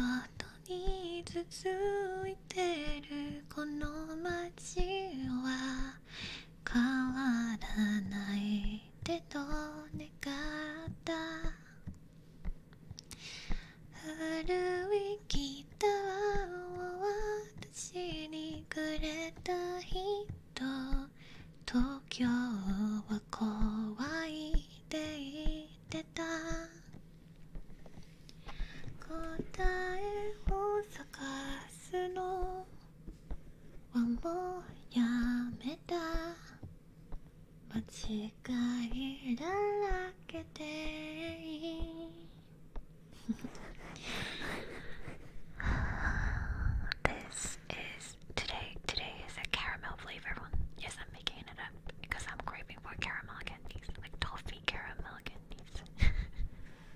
についてるこの街は変わらないでと願った古いギターを私にくれた人東京は怖いって言ってた答えを探すのはもうやめた間違いだらけでいい This is today. Today is a caramel flavor one. Yes, I'm making it up because I'm craving for caramel candies, like toffee caramel candies.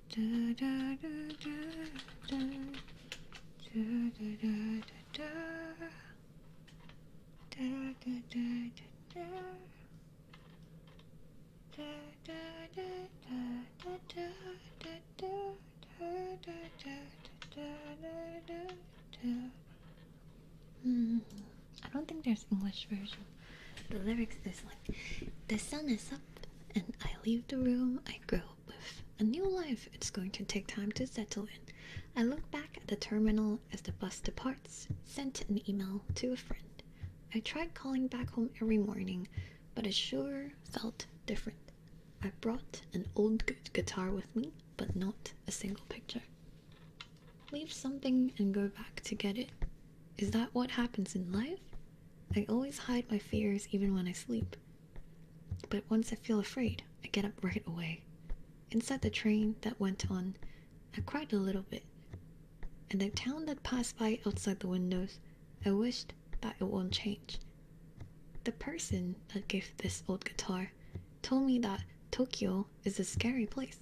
Mm, I don't think there's English version. The lyrics is like, the sun is up and I leave the room I grow up with. A new life it's going to take time to settle in. I look back at the terminal as the bus departs, sent an email to a friend. I tried calling back home every morning, but it sure felt different. I brought an old good guitar with me, but not a single picture. Leave something and go back to get it. Is that what happens in life? I always hide my fears even when I sleep. But once I feel afraid, I get up right away. Inside the train that went on, I cried a little bit. And the town that passed by outside the windows, I wished that it won't change. The person that gave this old guitar told me that Tokyo is a scary place.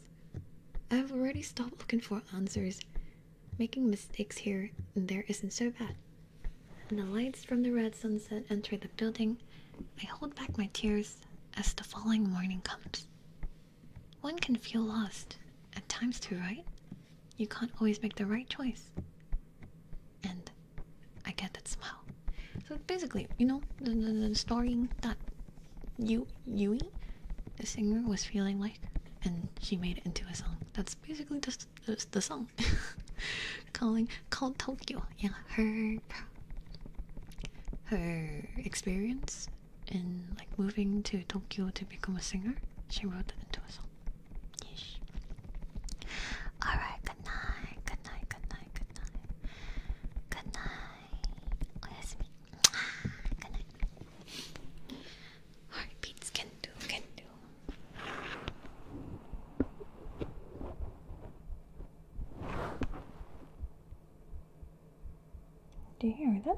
I've already stopped looking for answers Making mistakes here and there isn't so bad. And the lights from the red sunset enter the building. I hold back my tears as the falling morning comes. One can feel lost, at times too, right? You can't always make the right choice. And I get that somehow. So basically, you know, the, the, the story that you Yui, the singer, was feeling like and she made it into a song that's basically just, the song calling called tokyo yeah her her experience in like moving to tokyo to become a singer she wrote it into a song yes all right good night good night good night good night good night Oyasumi. good night Heartbeats can do, can do. Do you hear that?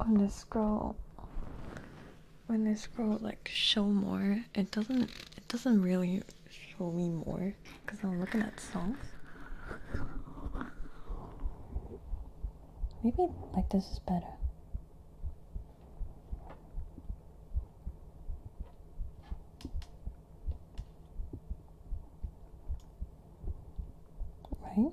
on the scroll when I scroll like show more, it doesn't it doesn't really show me more because I'm looking at songs. Maybe like this is better. Right?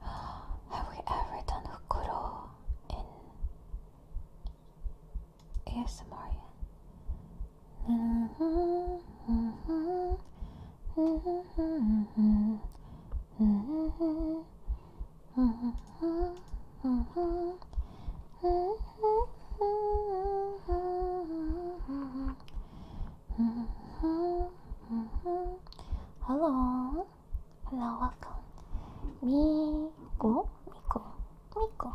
Have we ever done Hukuro in ASMR? Hello. Hello, welcome. Miko, Miko, Miko.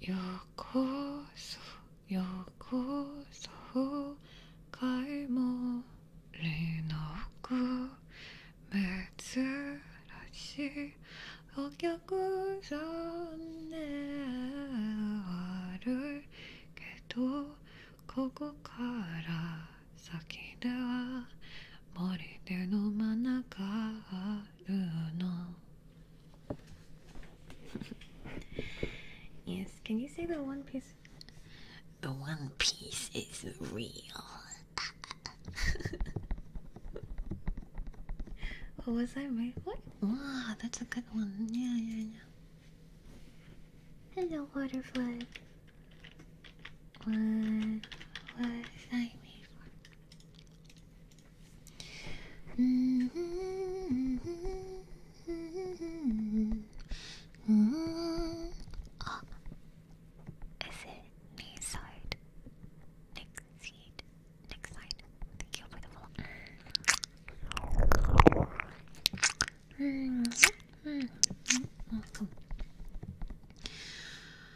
ようこそようこそ買い物の奥珍しいお客さんであるけどここから先では yes, can you say the one piece? The one piece is real. what was I made for? Wow, that's a good one. Yeah, yeah, yeah. Hello, waterfly. What was I made for? Oh, is it me side? Next seed. Next side. Thank you for the follow. Welcome.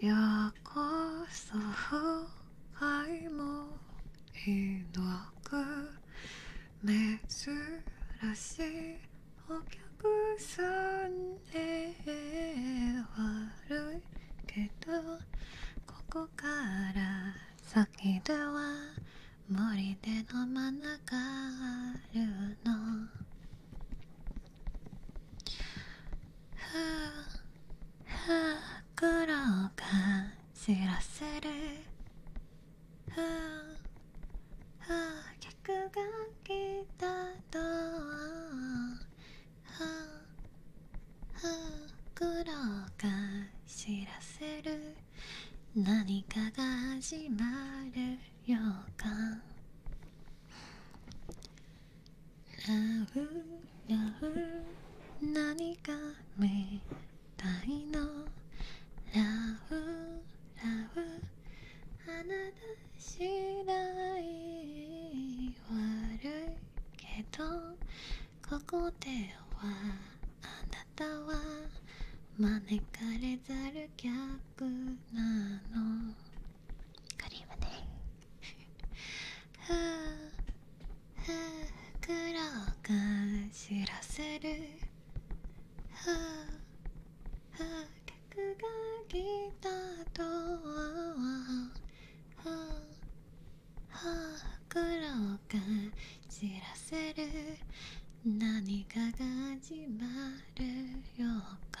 ようこ そ愛もひのく珍しいお客さんへ悪いけどここから先では森での真ん中あるのふうふうろか。すらするふうふう客が来たとはふうふう苦労が知らせる何かが始まるようかラブラブ何がみたいのラブラブあなた次第悪いけどここではあなたは招かれざる客なのクリームねふうふうくろが知らせるふうふう客が来たとはふうふうくろが知らせる何かが始まるようか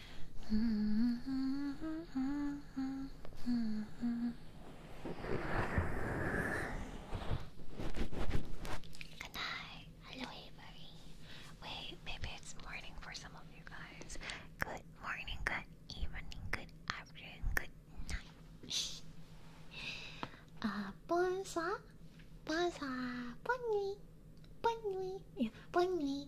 Good night. Hello, everybody. Wait, maybe it's morning for some of you guys. Good morning, good evening, good afternoon, good night. uh, bonsoir, bonsoir, bonne nuit, bonne nuit, bonne nuit.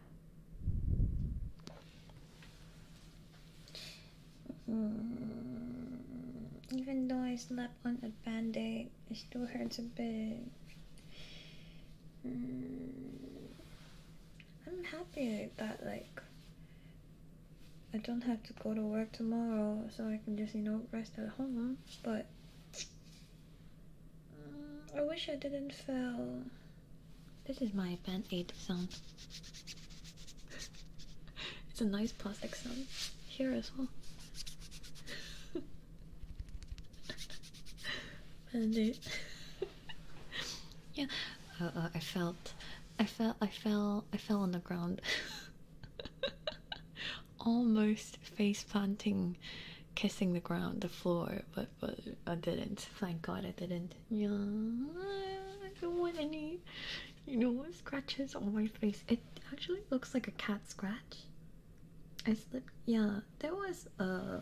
Mm, even though I slept on a band-aid, it still hurts a bit. I'm happy that like I don't have to go to work tomorrow, so I can just you know rest at home. But I wish I didn't fail. This is my band aid sound. it's a nice plastic sound here as well. band aid. yeah. Uh, uh, I felt. I fell. I fell. I fell on the ground. Almost face planting, kissing the ground, the floor, but but I didn't. Thank God I didn't. Yeah, I don't want any, you know, scratches on my face. It actually looks like a cat scratch. I slipped. Yeah, there was a.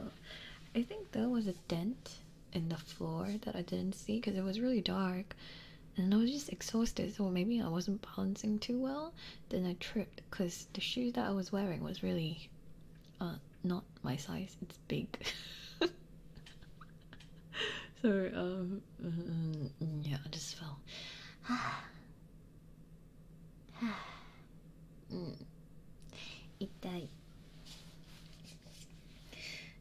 I think there was a dent in the floor that I didn't see because it was really dark, and I was just exhausted. So maybe I wasn't balancing too well. Then I tripped because the shoes that I was wearing was really uh not my size it's big so um mm, yeah i just fell Itai.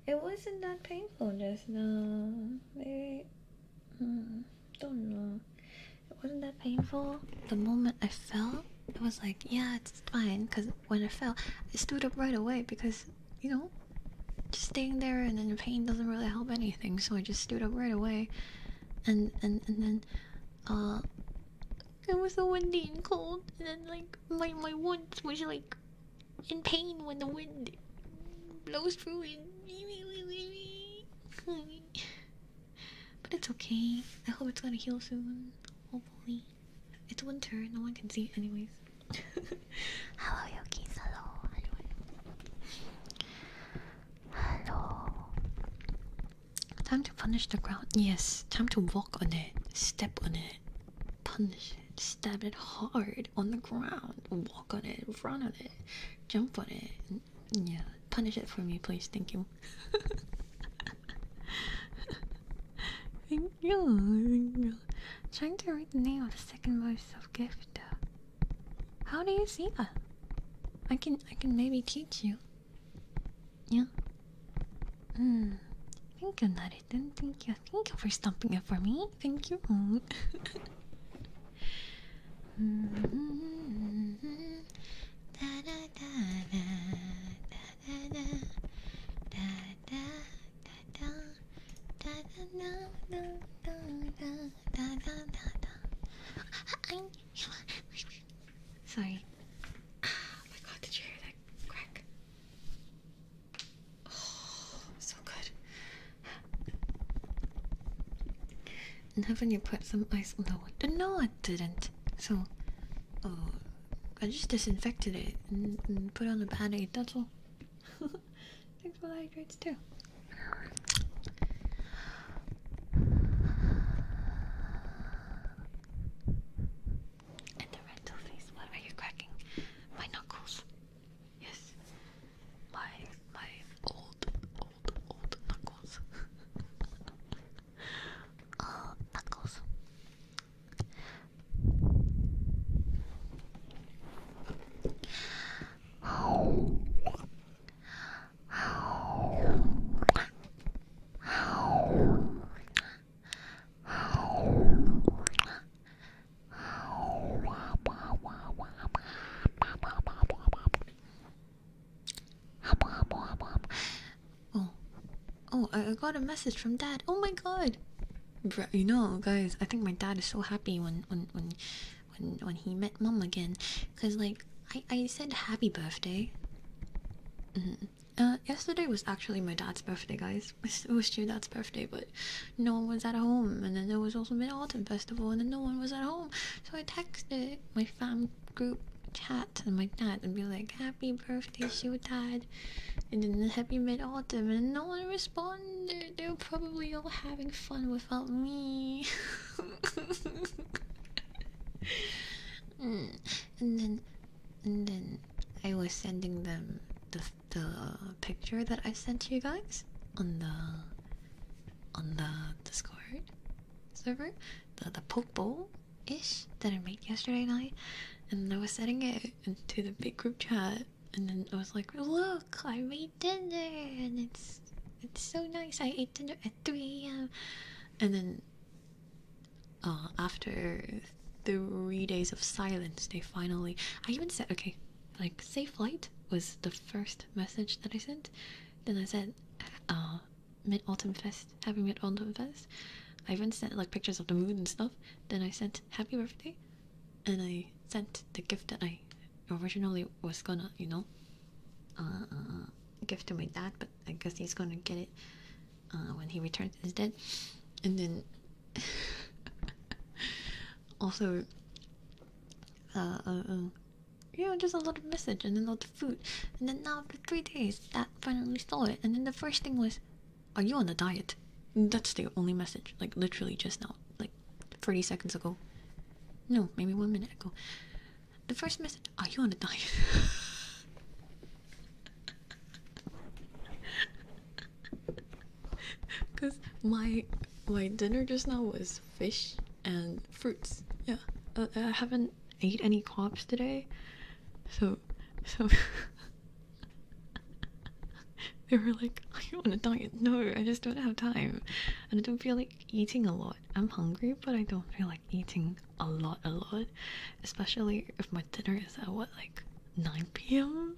It wasn't that painful just now. Uh, Maybe, mm, don't know. It wasn't that painful? The moment I fell, it was like, yeah, it's fine. Cause when I fell, I stood up right away because you know, just staying there and then the pain doesn't really help anything. So I just stood up right away, and and and then, uh, it was so windy and cold, and then like my my wounds was like in pain when the wind blows through it. But it's okay. I hope it's gonna heal soon. Hopefully. It's winter, no one can see it anyways. hello Yokis, hello. Hello. Time to punish the ground. Yes, time to walk on it, step on it, punish it, stab it hard on the ground, walk on it, run on it, jump on it. Yeah, punish it for me, please. Thank you thank you, thank you. Trying to read the name of the second voice of gift. How do you see that? I can I can maybe teach you. Yeah. Hmm. Thank you, Nariten. Thank you. Thank you for stomping it for me. Thank you. Mm-hmm. Sorry. Oh my god, did you hear that crack? Oh, so good. And haven't you put some ice? on the water? no, I didn't. So, oh. I just disinfected it and, put on the band that's all. Thanks for the hydrates, too. And the rental face, what are you cracking? My knuckles. Yes. My my old, old, old knuckles. oh, uh, Knuckles. Oh, oh, I, I got a message from dad. Oh my god. Bru you know, guys, I think my dad is so happy when when when when when he met mom again, cause like I I said happy birthday. Mm -hmm. Uh, yesterday was actually my dad's birthday, guys. It was your dad's birthday, but no one was at home, and then there was also mid autumn festival, and then no one was at home. So I texted my fam group chat and like that and be like happy birthday Shotad and then happy mid-autumn and no one responded they're probably all having fun without me mm. and then and then I was sending them the the picture that I sent you guys on the on the Discord server the the poke bowl ish that I made yesterday night, and I was sending it into the big group chat, and then I was like, "Look, I made dinner, and it's it's so nice. I ate dinner at 3 a.m." And then, uh, after three days of silence, they finally. I even said, "Okay, like safe flight." was the first message that I sent. Then I said, uh, Mid Autumn Fest, Happy Mid Autumn Fest. I even sent like pictures of the moon and stuff. Then I sent Happy Birthday, and I sent the gift that I originally was gonna, you know, uh, give to my dad, but I guess he's gonna get it uh, when he returns instead. And then also, uh, uh, uh, you know, just a lot of message and then a lot of food. And then now after three days, that finally saw it. And then the first thing was, are you on a diet? That's the only message, like literally just now, like 30 seconds ago. No, maybe one minute ago. The first message, are you on a diet? Because my my dinner just now was fish and fruits. Yeah, uh, I haven't ate any carbs today, so so they were like, "I oh, want to diet? No, I just don't have time, and I don't feel like eating a lot. I'm hungry, but I don't feel like eating a lot, a lot, especially if my dinner is at what like 9 p.m."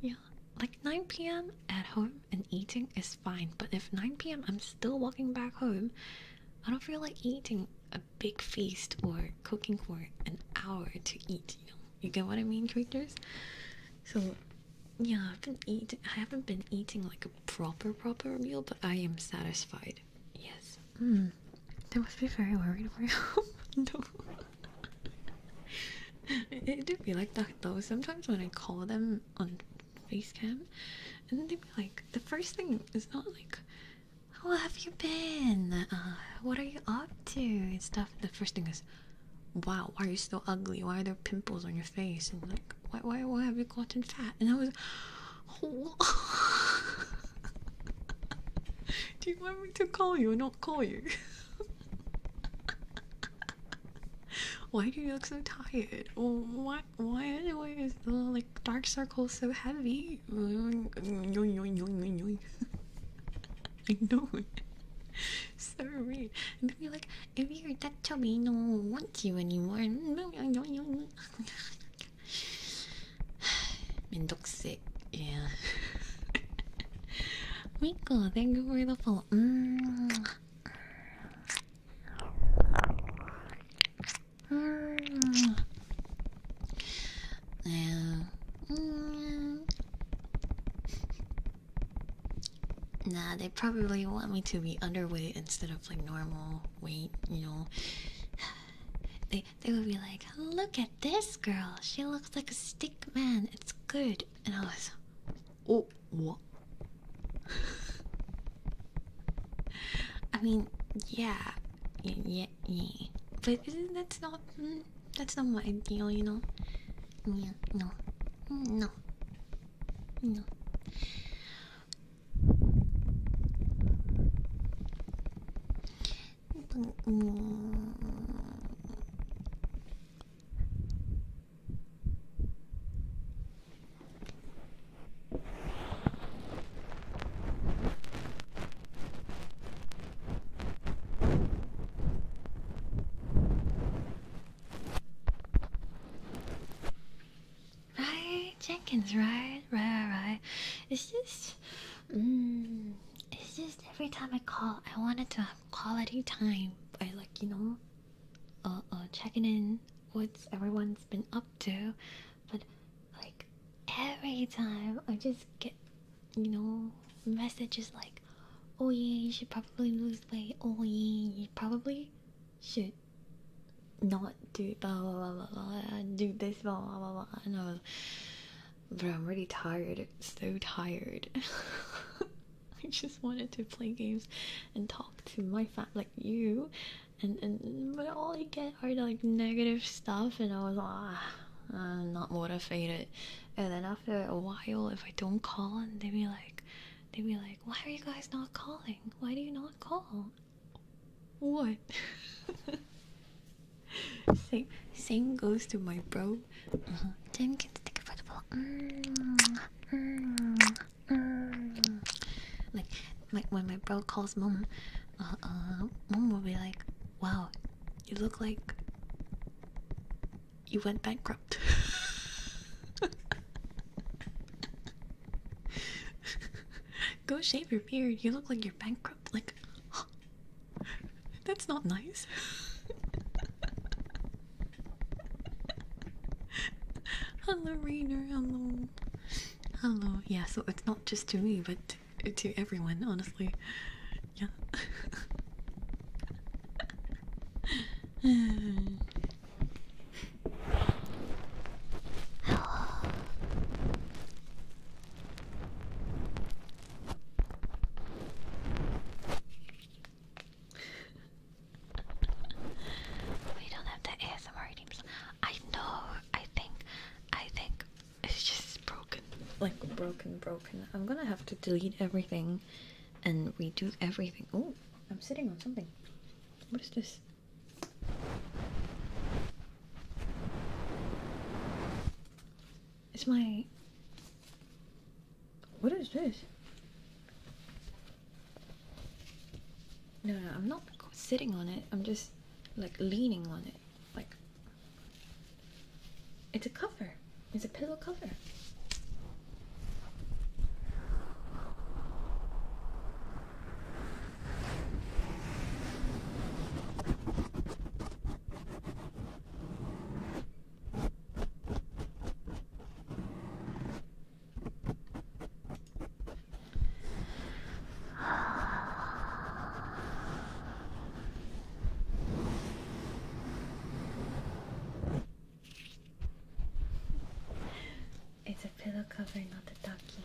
Yeah, like 9 p.m. at home and eating is fine, but if 9 p.m. I'm still walking back home, I don't feel like eating. I big feast or cooking for an hour to eat, you know. You get what I mean, creators? So yeah, I've been eating. I haven't been eating like a proper proper meal, but I am satisfied. Yes. Mm. They must be very worried about you. no. it, it do be like that though. Sometimes when I call them on Facecam, and they be like, the first thing is not like how have you been? Uh, what are you up to? And stuff. The first thing is, wow, why are you so ugly? Why are there pimples on your face? And like, why, why, why have you gotten fat? And I was, oh. do you want me to call you or not call you? why do you look so tired? Why why anyway is the like dark circle so heavy? I know so weird. And then you're like, if you're that to me, no one will want you anymore. Mendoxic, yeah. Miko, thank you for the follow. Mm. Nah, they probably want me to be underweight instead of like normal weight, you know. They they would be like, look at this girl, she looks like a stick man, it's good. And I was, oh what? I mean, yeah, yeah, yeah. But that's not mm, that's not my ideal, you know. Mm, no, no, no. Right, Jenkins, right, right, right. It's just, mm, it's just every time I call, I wanted to have quality time I like you know, uh, uh, checking in what's everyone's been up to, but like every time I just get, you know, messages like, oh yeah, you should probably lose weight, oh yeah, you probably should not do blah blah blah blah, blah do this blah blah blah And I was, but I'm really tired, so tired. I just wanted to play games and talk to my fat like you and and but all I get are like negative stuff, and I was like, ah, uh, not motivated. And then after a while, if I don't call, and they be like, they be like, why are you guys not calling? Why do you not call? What? same same goes to my bro. Uh can stick it for Like like when my bro calls mom, uh, uh, mom will be like, "Wow, you look like you went bankrupt." Go shave your beard. You look like you're bankrupt. Like, that's not nice. hello, Rainer. Hello. Hello. Yeah, so it's not just to me, but to, everyone, honestly. Yeah. we don't have the ASMR teams. I know. I think. I think it's just broken. Like broken, broken. I'm gonna have to delete everything and redo everything. Oh, I'm sitting on something. What is this? It's my. What is this? No, no, I'm not sitting on it. I'm just like leaning on it like it's a cover. It's a pillow cover. It's a pillow cover, not a ducky.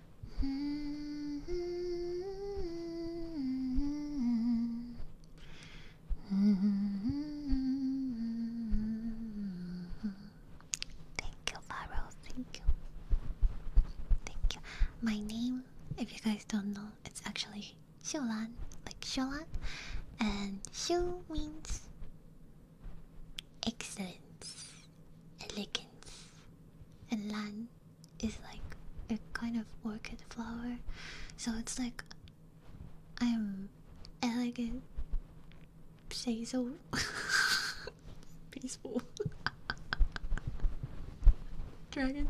Thank you, Barrow. Thank you. Thank you. My name, if you guys don't know, it's actually Xiulan, like Xiulan, and Xiu means excellence, elegance, and Lan is like a kind of orchid flower, so it's like I'm elegant, basil, peaceful, dragon.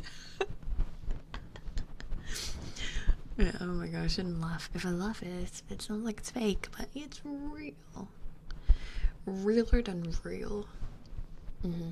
yeah, oh my gosh, I shouldn't laugh. If I laugh, it it sounds like it's fake, but it's real, realer than real. Mm -hmm.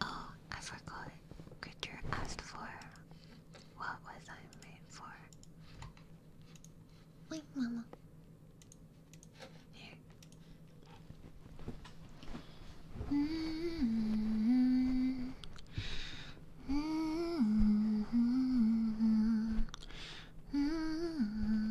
Oh, I forgot. Creature asked for. What was I made for? Wait, Mama. Here. Mm-hmm. Mm-hmm. Mm-hmm.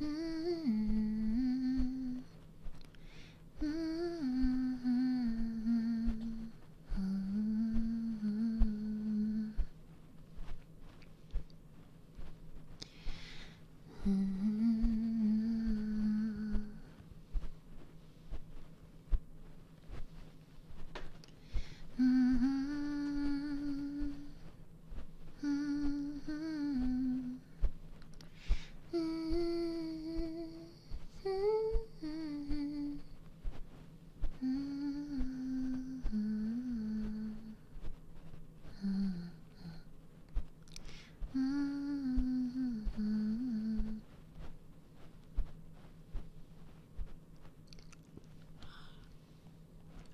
Mm -hmm. Mm -hmm. -hmm. -hmm.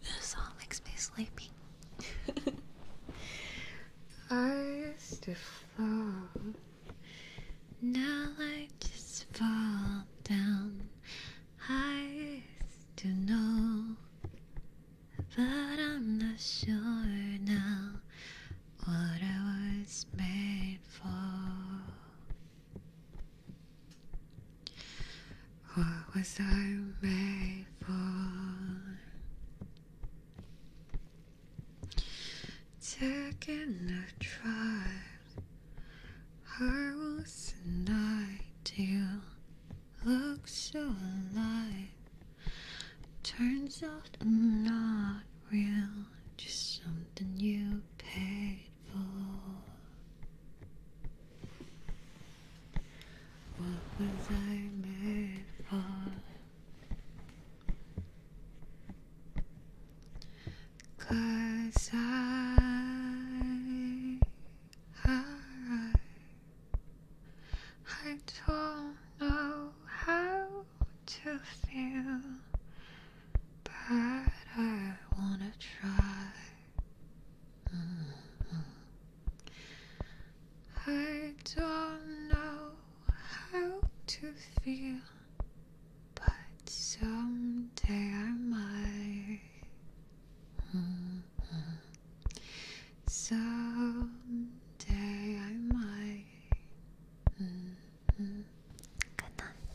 This all makes me sleepy. I used to fall, now I just fall down. I used to know, but I'm not sure now what I was made for. What was I made fall. Taking a drive, I was an ideal. Looks so alive. Turns out not real, just something you paid for. What was I made for? Cause I, I, I don't know how to feel, but I wanna try. Mm-hmm. I don't know how to feel, but someday I might. Mm -hmm. Someday I might. Good night.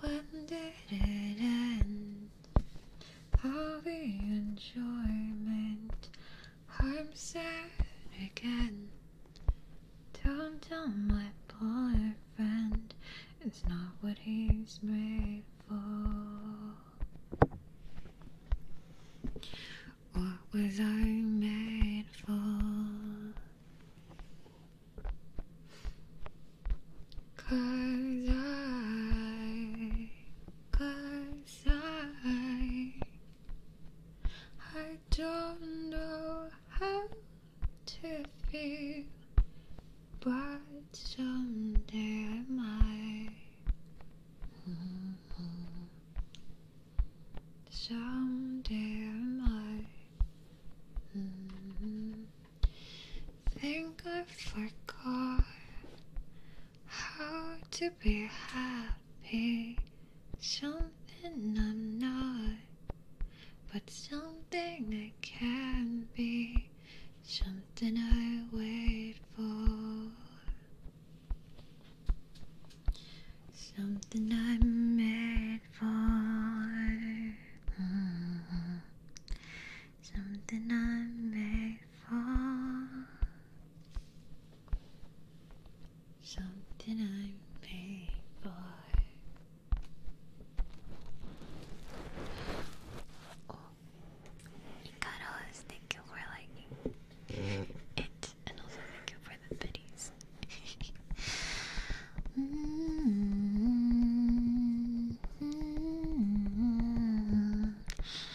When did it end? All the enjoyment I'm sad again. Don't tell my boyfriend, it's not what he's made for. What was I made for? Cause I cause I I don't know how to feel but someday I might mm -hmm. someday I might mm -hmm. think I forgot how to be happy, something I'm not, but something I can be, something I wait for, something I'm made for, mm -hmm. something I'm made fall. Something I'm made for. Oh, Icaros, thank you for liking it, and also thank you for the biddies. Mm-hmm.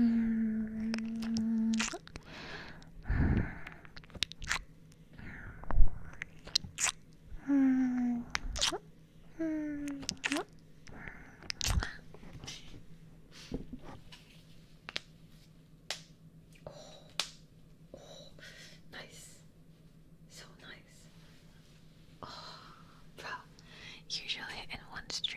Oh, oh, nice, so nice. Oh, usually in one stream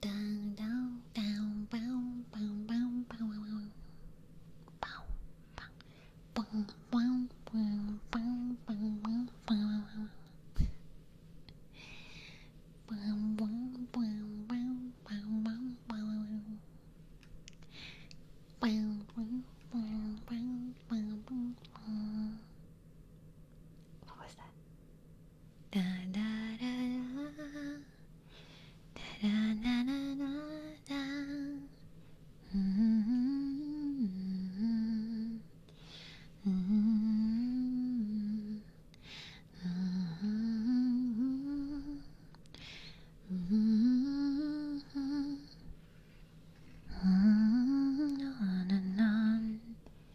Down, down, down, bow, bow, bow, bow, bow, bow, bow, bow, what was that? Da da da da da da da da da. Mm -hmm. Mm -hmm. Mm -hmm. Mm -hmm.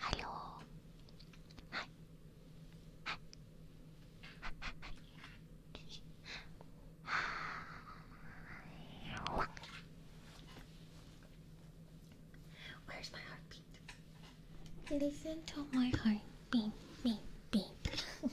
ハローはいはいはいはい Where's my heartbeat? Listen to my heart beat, beat, beat.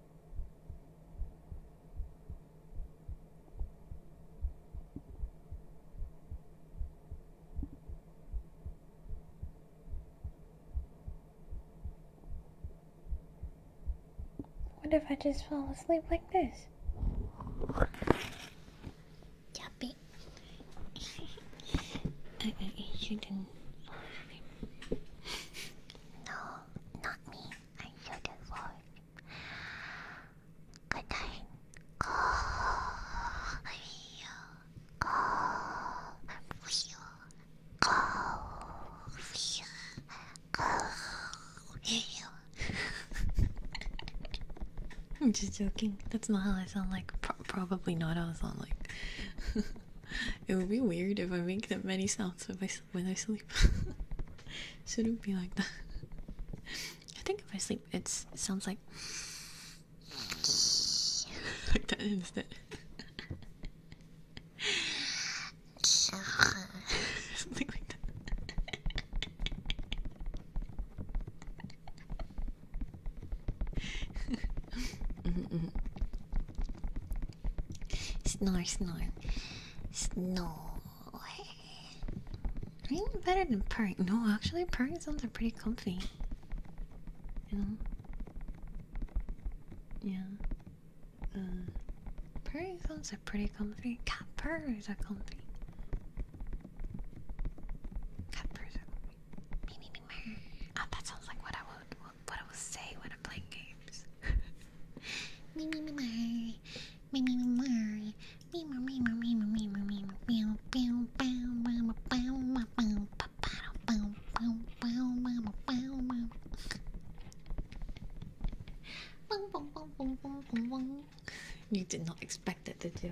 What if I just fall asleep like this? Yuppie. I, shouldn't no, not me. I'm so divorced. Good night. Oh, you. Oh, you. Oh, you. Oh, you. I'm just joking. That's not how I sound like. probably not how I sound like. it would be weird if I make that many sounds when I sleep. Shouldn't be like that. I think if I sleep, it sounds like like that instead. Something like that. Mm-hmm, mm-hmm. Snore, snore, snore. Are you better than purring. No, actually, purring sounds are pretty comfy. You know? Yeah. Uh, purring sounds are pretty comfy. Cat purrs are comfy. Cat purrs are comfy. Me, me, me, ah, that sounds like what I would, what I would say when you did not expect it, to do.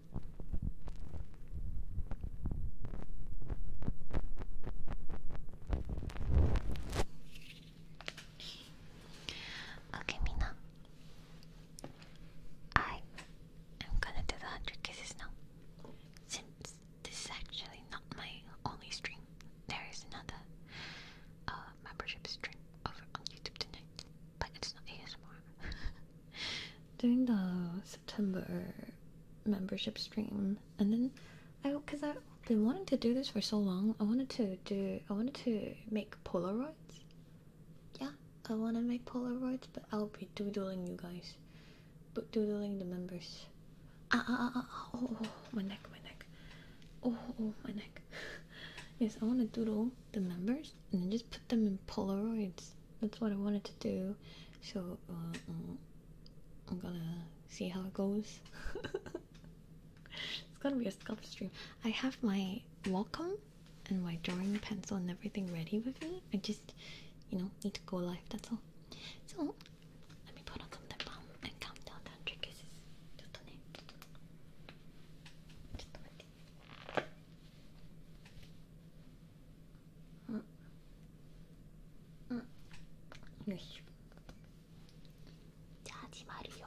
Okay, Mina. I am gonna do the 100 kisses now. Since this is actually not my only stream, there is another uh, membership stream over on YouTube tonight, but it's not ASMR. Doing those. September membership stream, and then I, cause I've been wanting to do this for so long. I wanted to do, I wanted to make Polaroids. Yeah, I want to make Polaroids, but I'll be doodling you guys, but doodling the members. Ah ah ah! ah, ah oh, oh, my neck, my neck. Oh oh, oh my neck. yes, I want to doodle the members and then just put them in Polaroids that's what I wanted to do. So uh, uh, I'm gonna see how it goes. it's gonna be a sculpt stream. I have my Wacom and my drawing pencil and everything ready with me. I just, you know, need to go live. That's all. So let me put on some lip balm and calm down the trick 응. 응. 요시. 자지 말이요.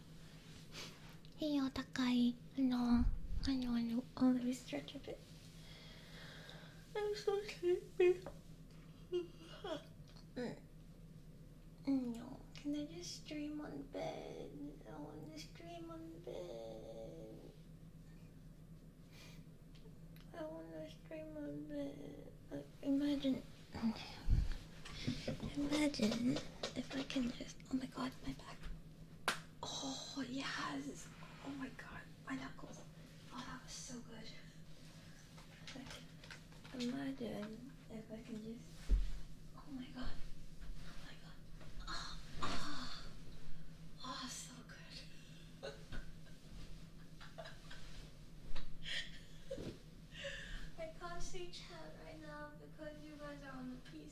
Hey, Otakai. I know, I know, I know. Oh, let me stretch a bit. I'm so sleepy. no, mm, can I just stream on bed? I want to stream on bed. I want to stream on bed. Like, imagine. Imagine if I can just. Oh my god, my back. Oh, yes. Oh my god, my knuckles. Oh, that was so good. Like, imagine if I can just. Oh my god. Oh my god. Oh, oh. oh so good. I can't see chat right now because you guys are on the PC.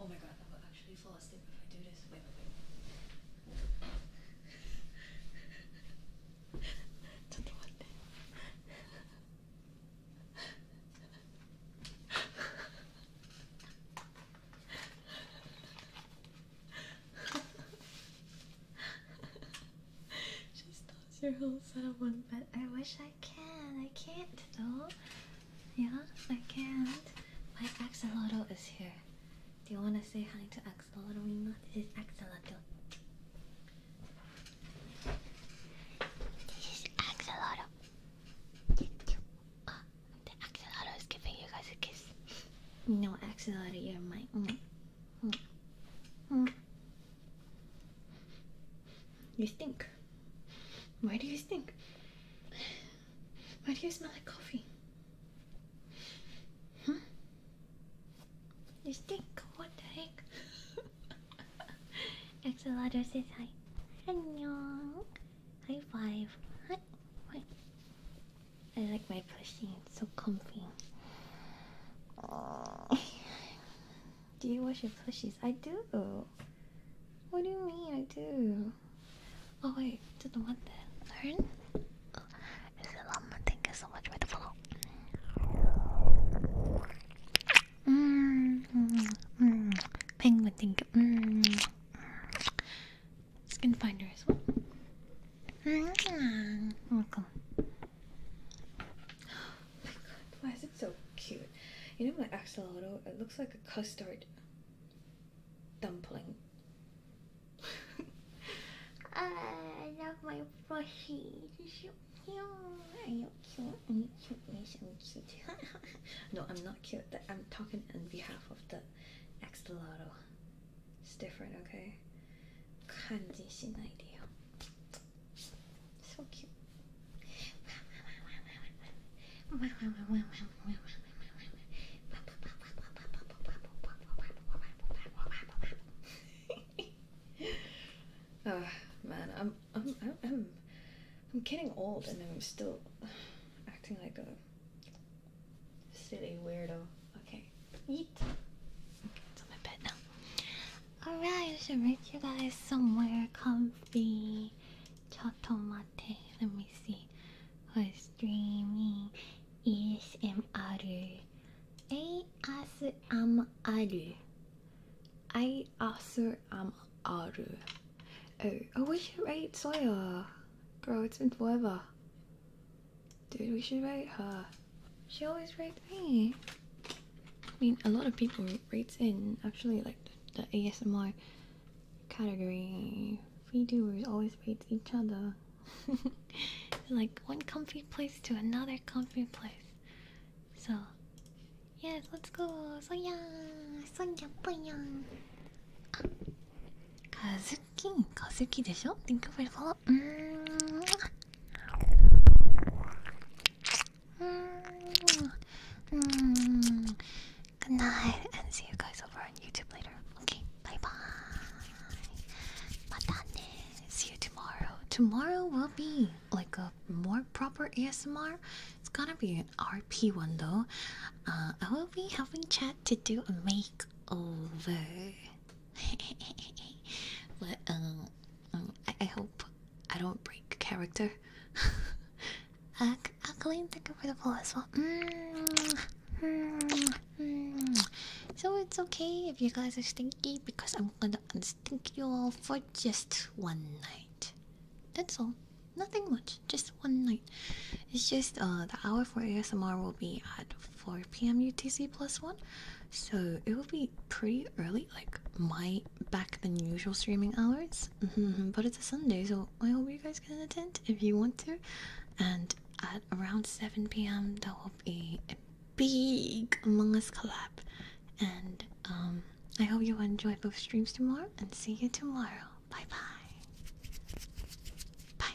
Oh my god, I will actually fall asleep if I do this. Wait, wait, wait. ちょっと待って She stores your whole set one bed. I wish I can. I can't though. Yeah, I can't. My axolotl is here. Do you want to say hi to axolotl? This is axolotl. This is axolotl. Ah, the axolotl is giving you guys a kiss. No, axolotl, you're mine. Mm, mm, mm. You stink. Why do you stink? Why do you smell like coffee? Hmm? You stink, what the heck? Axolotl says hi. Annyeong. High five. Hi. Wait. I like my plushie, it's so comfy. do you wash your plushies? I do. What do you mean I do? Hmm. Oh wait, didn't want that. Learn? Oh, is it um, Thank you so much for the follow. Mmm. Mmm. Mm. Penguin, thank you. Mmm. Skin finder as well. Mmm. Welcome. Oh my god, why is it so cute? You know my axolotl? It looks like a custard dumpling. I love my plushie. So cute. Are you Are cute? Yes, I'm cute. no, I'm not cute. I'm talking on behalf of the Axolotl. It's different, okay? Kanjishin idea. So cute. oh man, I'm I'm I'm I'm getting old and I'm still acting like a silly weirdo. Okay, eat. Okay, it's on my bed now. Alright, I should make you guys somewhere comfy. Chotomate. Let me see. What is streaming ASMR ASMR ASMR Oh, oh we should rate Sawyer Girl, it's been forever Dude, we should rate her She always rates me I mean, a lot of people rates in, actually like the, the ASMR category. Freedoers always raid each other. like one comfy place to another comfy place. So, yes, let's go. So yeah, so yeah, boya. Ah, Kazuki, Kazuki, でしょ? Thank you for the follow. Good night, and see you guys over on YouTube later. Okay, bye bye. Matane. See you tomorrow. Tomorrow will be like a more proper ASMR. It's gonna be an RP one though. Uh, I will be having chat to do a makeover. but um, um I, hope I don't break character. uh, Colleen, thank you for the follow as well. Mm. Hmm, hmm. So it's okay if you guys are stinky because I'm gonna unstink you all for just one night. That's all. Nothing much. Just one night. It's just uh the hour for ASMR will be at 4 p.m. UTC plus one. So it will be pretty early, like my back than usual streaming hours. Mm-hmm, mm-hmm. but it's a Sunday, so I hope you guys can attend if you want to. And at around 7 p.m. there will be a big Among Us collab. And um, I hope you enjoy both streams tomorrow and see you tomorrow. Bye bye. Bye.